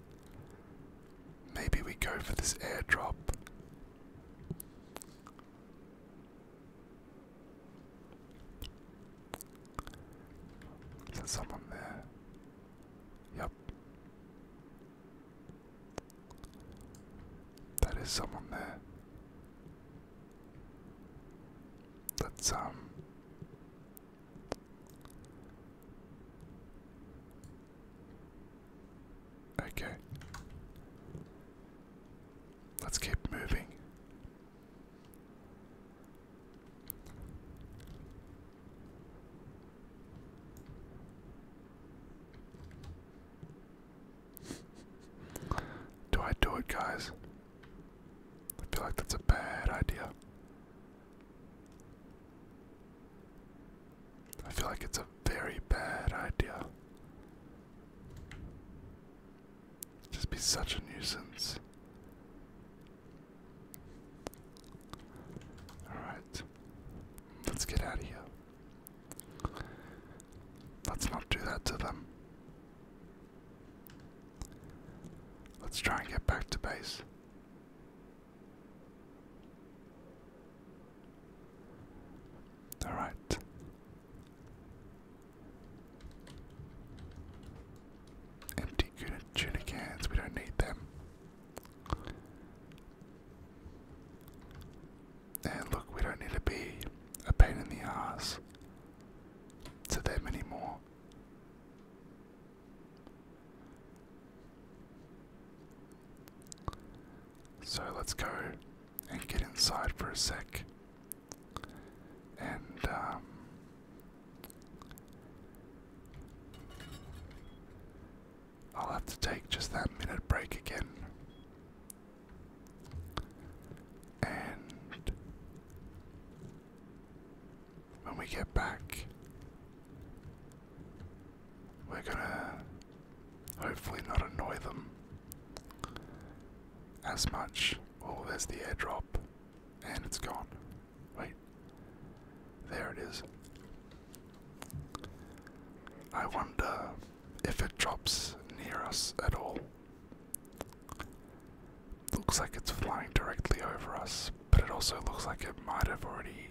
Maybe we go for this airdrop. Is there someone there? Yep. That is someone there. Let's, um, okay, let's keep moving. Do I do it, guys? I feel like that's a bad idea. I feel like it's a very bad idea. Just be such a nuisance. Alright, let's get out of here. Let's not do that to them. Let's try and get back to base. All right. Empty tuna cans, we don't need them. And look, we don't need to be a pain in the ass to them anymore. So let's go and get inside for a sec. And, um, I'll have to take just that minute break again. And when we get back, we're gonna hopefully not annoy them as much. Oh, there's the airdrop, and it's gone. Wait, there it is. I wonder if it drops near us at all. Looks like it's flying directly over us, but it also looks like it might have already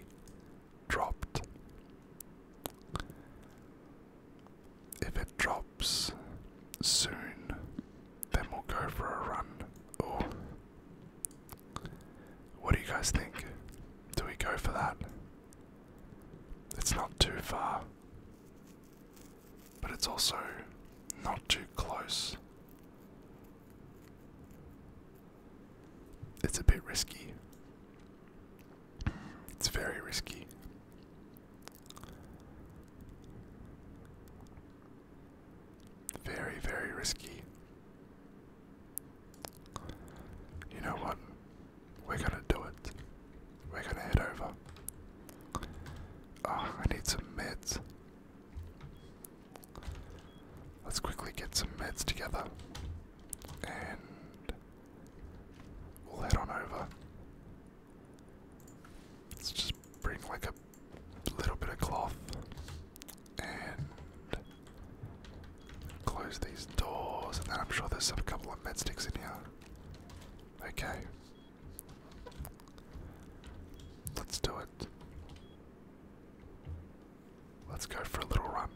dropped. If it drops soon, then we'll go for a run. Or what do you guys think? Do we go for that? It's not too far but it's also not too close. It's a bit risky. It's very risky. Very, very risky. You know what? We're gonna do it. We're gonna head over. Oh, I need some meds. Let's quickly get some meds together. And we'll head on over. Let's just bring like a little bit of cloth and close these doors. And then I'm sure there's a couple of med sticks in here. Okay, Let's do it. Let's go for a little run.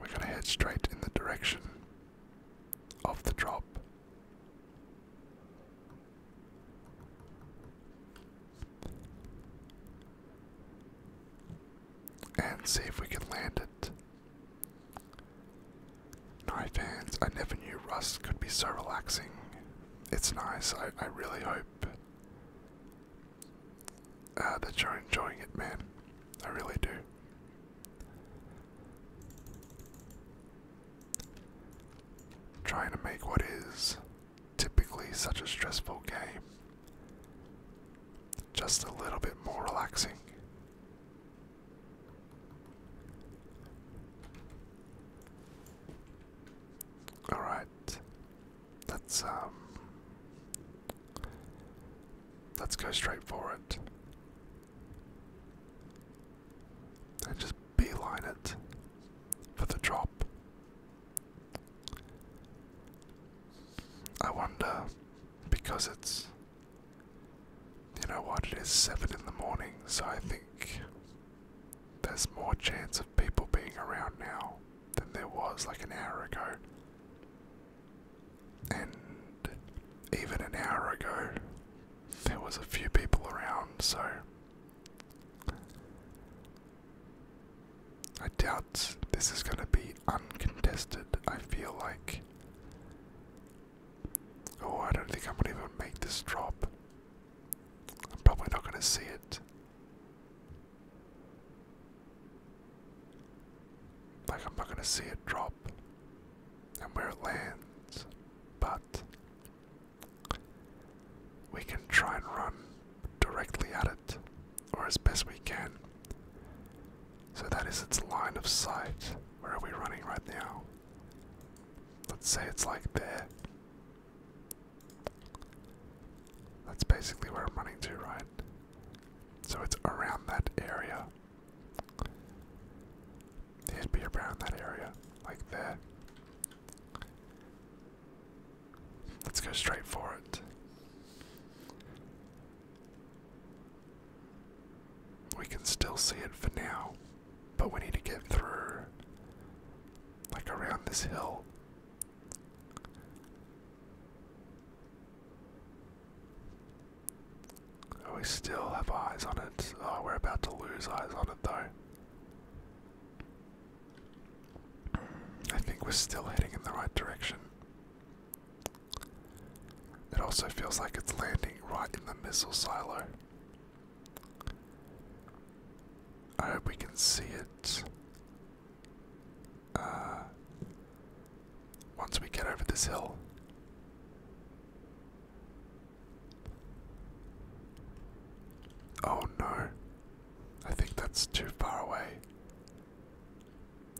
We're going to head straight in the direction of the drop. And see if we can land it. No fans, I never knew Rust could be so relaxing. It's nice, I, I really hope uh, that you're enjoying it, man. I really do. Trying to make what is typically such a stressful game just a little bit more relaxing. All right, let's um, let's go straight for it and just beeline it for the drop. I wonder because it's you know what? It is 7 in the morning, so I think there's more chance of people being around now than there was like an hour ago. And even an hour ago, there was a few people around, so I doubt this is going to be uncontested. I feel like Oh, I don't think I'm gonna even make this drop. I'm probably not gonna see it. Like, I'm not gonna see it drop and where it lands, but we can try and run directly at it, or as best we can. So that is its line of sight. Where are we running right now? Let's say it's like there. That's basically where I'm running to, right? So it's around that area. It'd be around that area, like there. Let's go straight for it. We can still see it for now, but we need to get through, like around this hill. Are oh, We still have eyes on it. Oh, we're about to lose eyes on it though. I think we're still heading in the right direction. It also feels like it's landing right in the missile silo. I hope we can see it. Uh, once we get over this hill. Oh no, I think that's too far away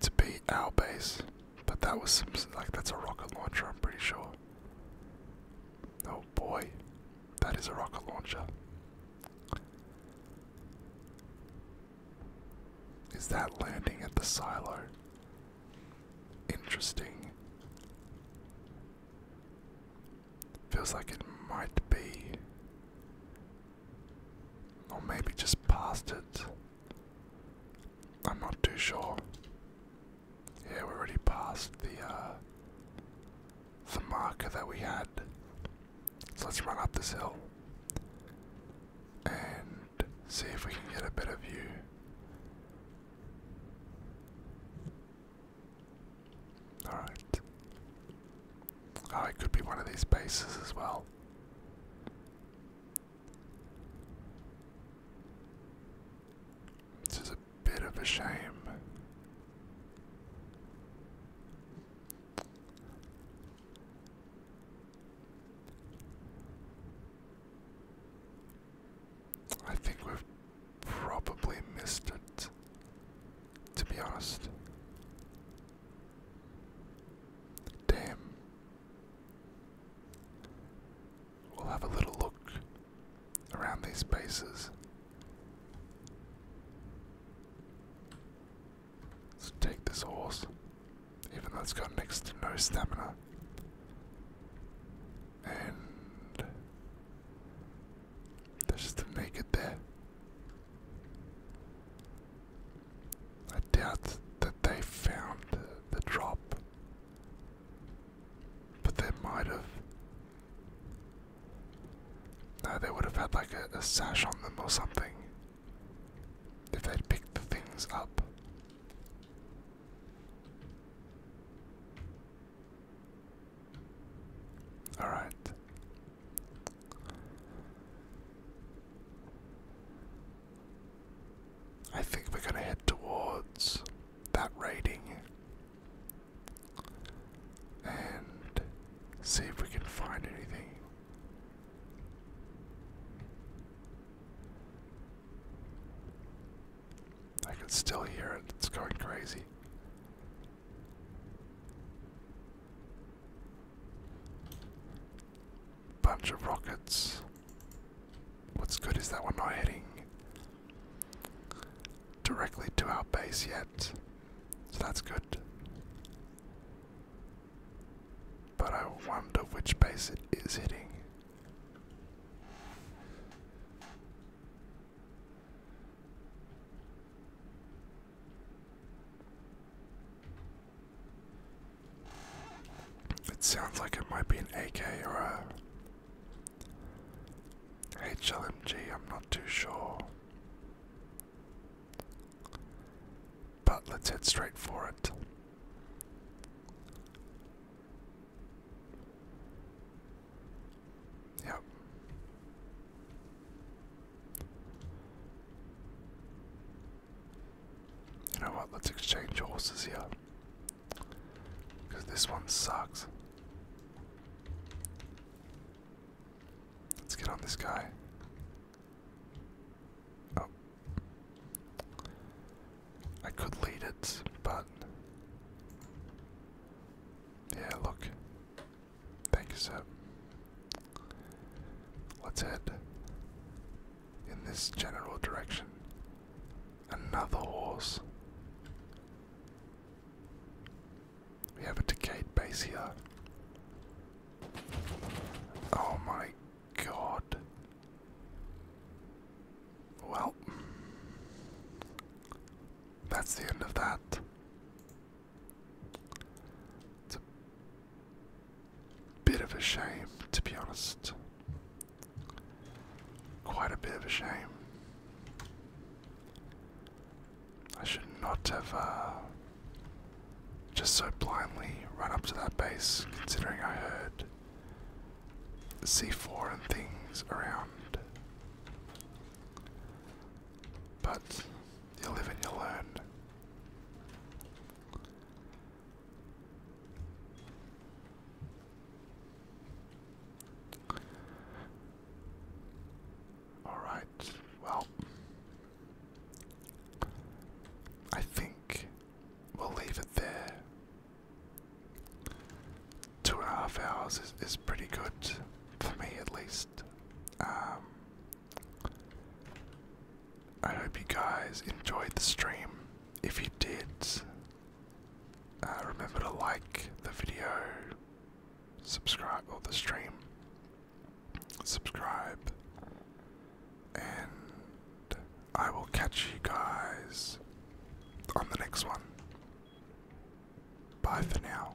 to be our base, but that was some, like that's a rocket launcher, I'm pretty sure. Oh boy, that is a rocket launcher. Is that landing at the silo? Interesting. Feels like it might be. Or maybe just past it. I'm not too sure. Yeah, we're already past the uh, the marker that we had. So let's run up this hill and see if we can get a better view. Alright. Oh, it could be one of these bases as well. This is a bit of a shame. I think we've probably missed it, to be honest. Damn we'll have a little look around these bases. Let's take this horse, even though it's got next to no stamina. And there's just a naked there. I doubt that they found the drop but they might have. they would have had like a, a sash on them or something. If they'd picked the things up. Alright. I think we're going to head towards that raiding and see if we can find anything. I can still hear it, it's going crazy. Bunch of rockets. What's good is that we're not heading directly to our base yet. So that's good. But I wonder which base it is hitting. It sounds like it might be an AK or a HLMG, I'm not too sure. But let's head straight for it. Yep. You know what? Let's exchange horses here. Because this one sucks. Let's get on this guy. Oh. I could lead it, but. Yeah, look. Thank you, sir. Let's head in this general direction. Another horse. We have a decayed base here. Oh my god. Well, that's the end of that. It's a bit of a shame, to be honest. Quite a bit of a shame. I should not have uh, just so blindly run up to that base, considering I heard C4 and things around. But you live and you learn. Alright, well, I think we'll leave it there. Two and a half hours is, is pretty good, for me at least. Um, I hope you guys enjoyed the stream. If you did, uh, remember to like the video, subscribe, or the stream, subscribe, and I will catch you guys on the next one. Bye for now.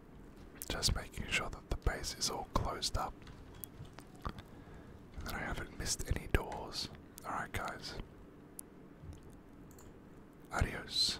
Just making sure that the base is all closed up. And that I haven't missed any doors. Alright, guys. Adios.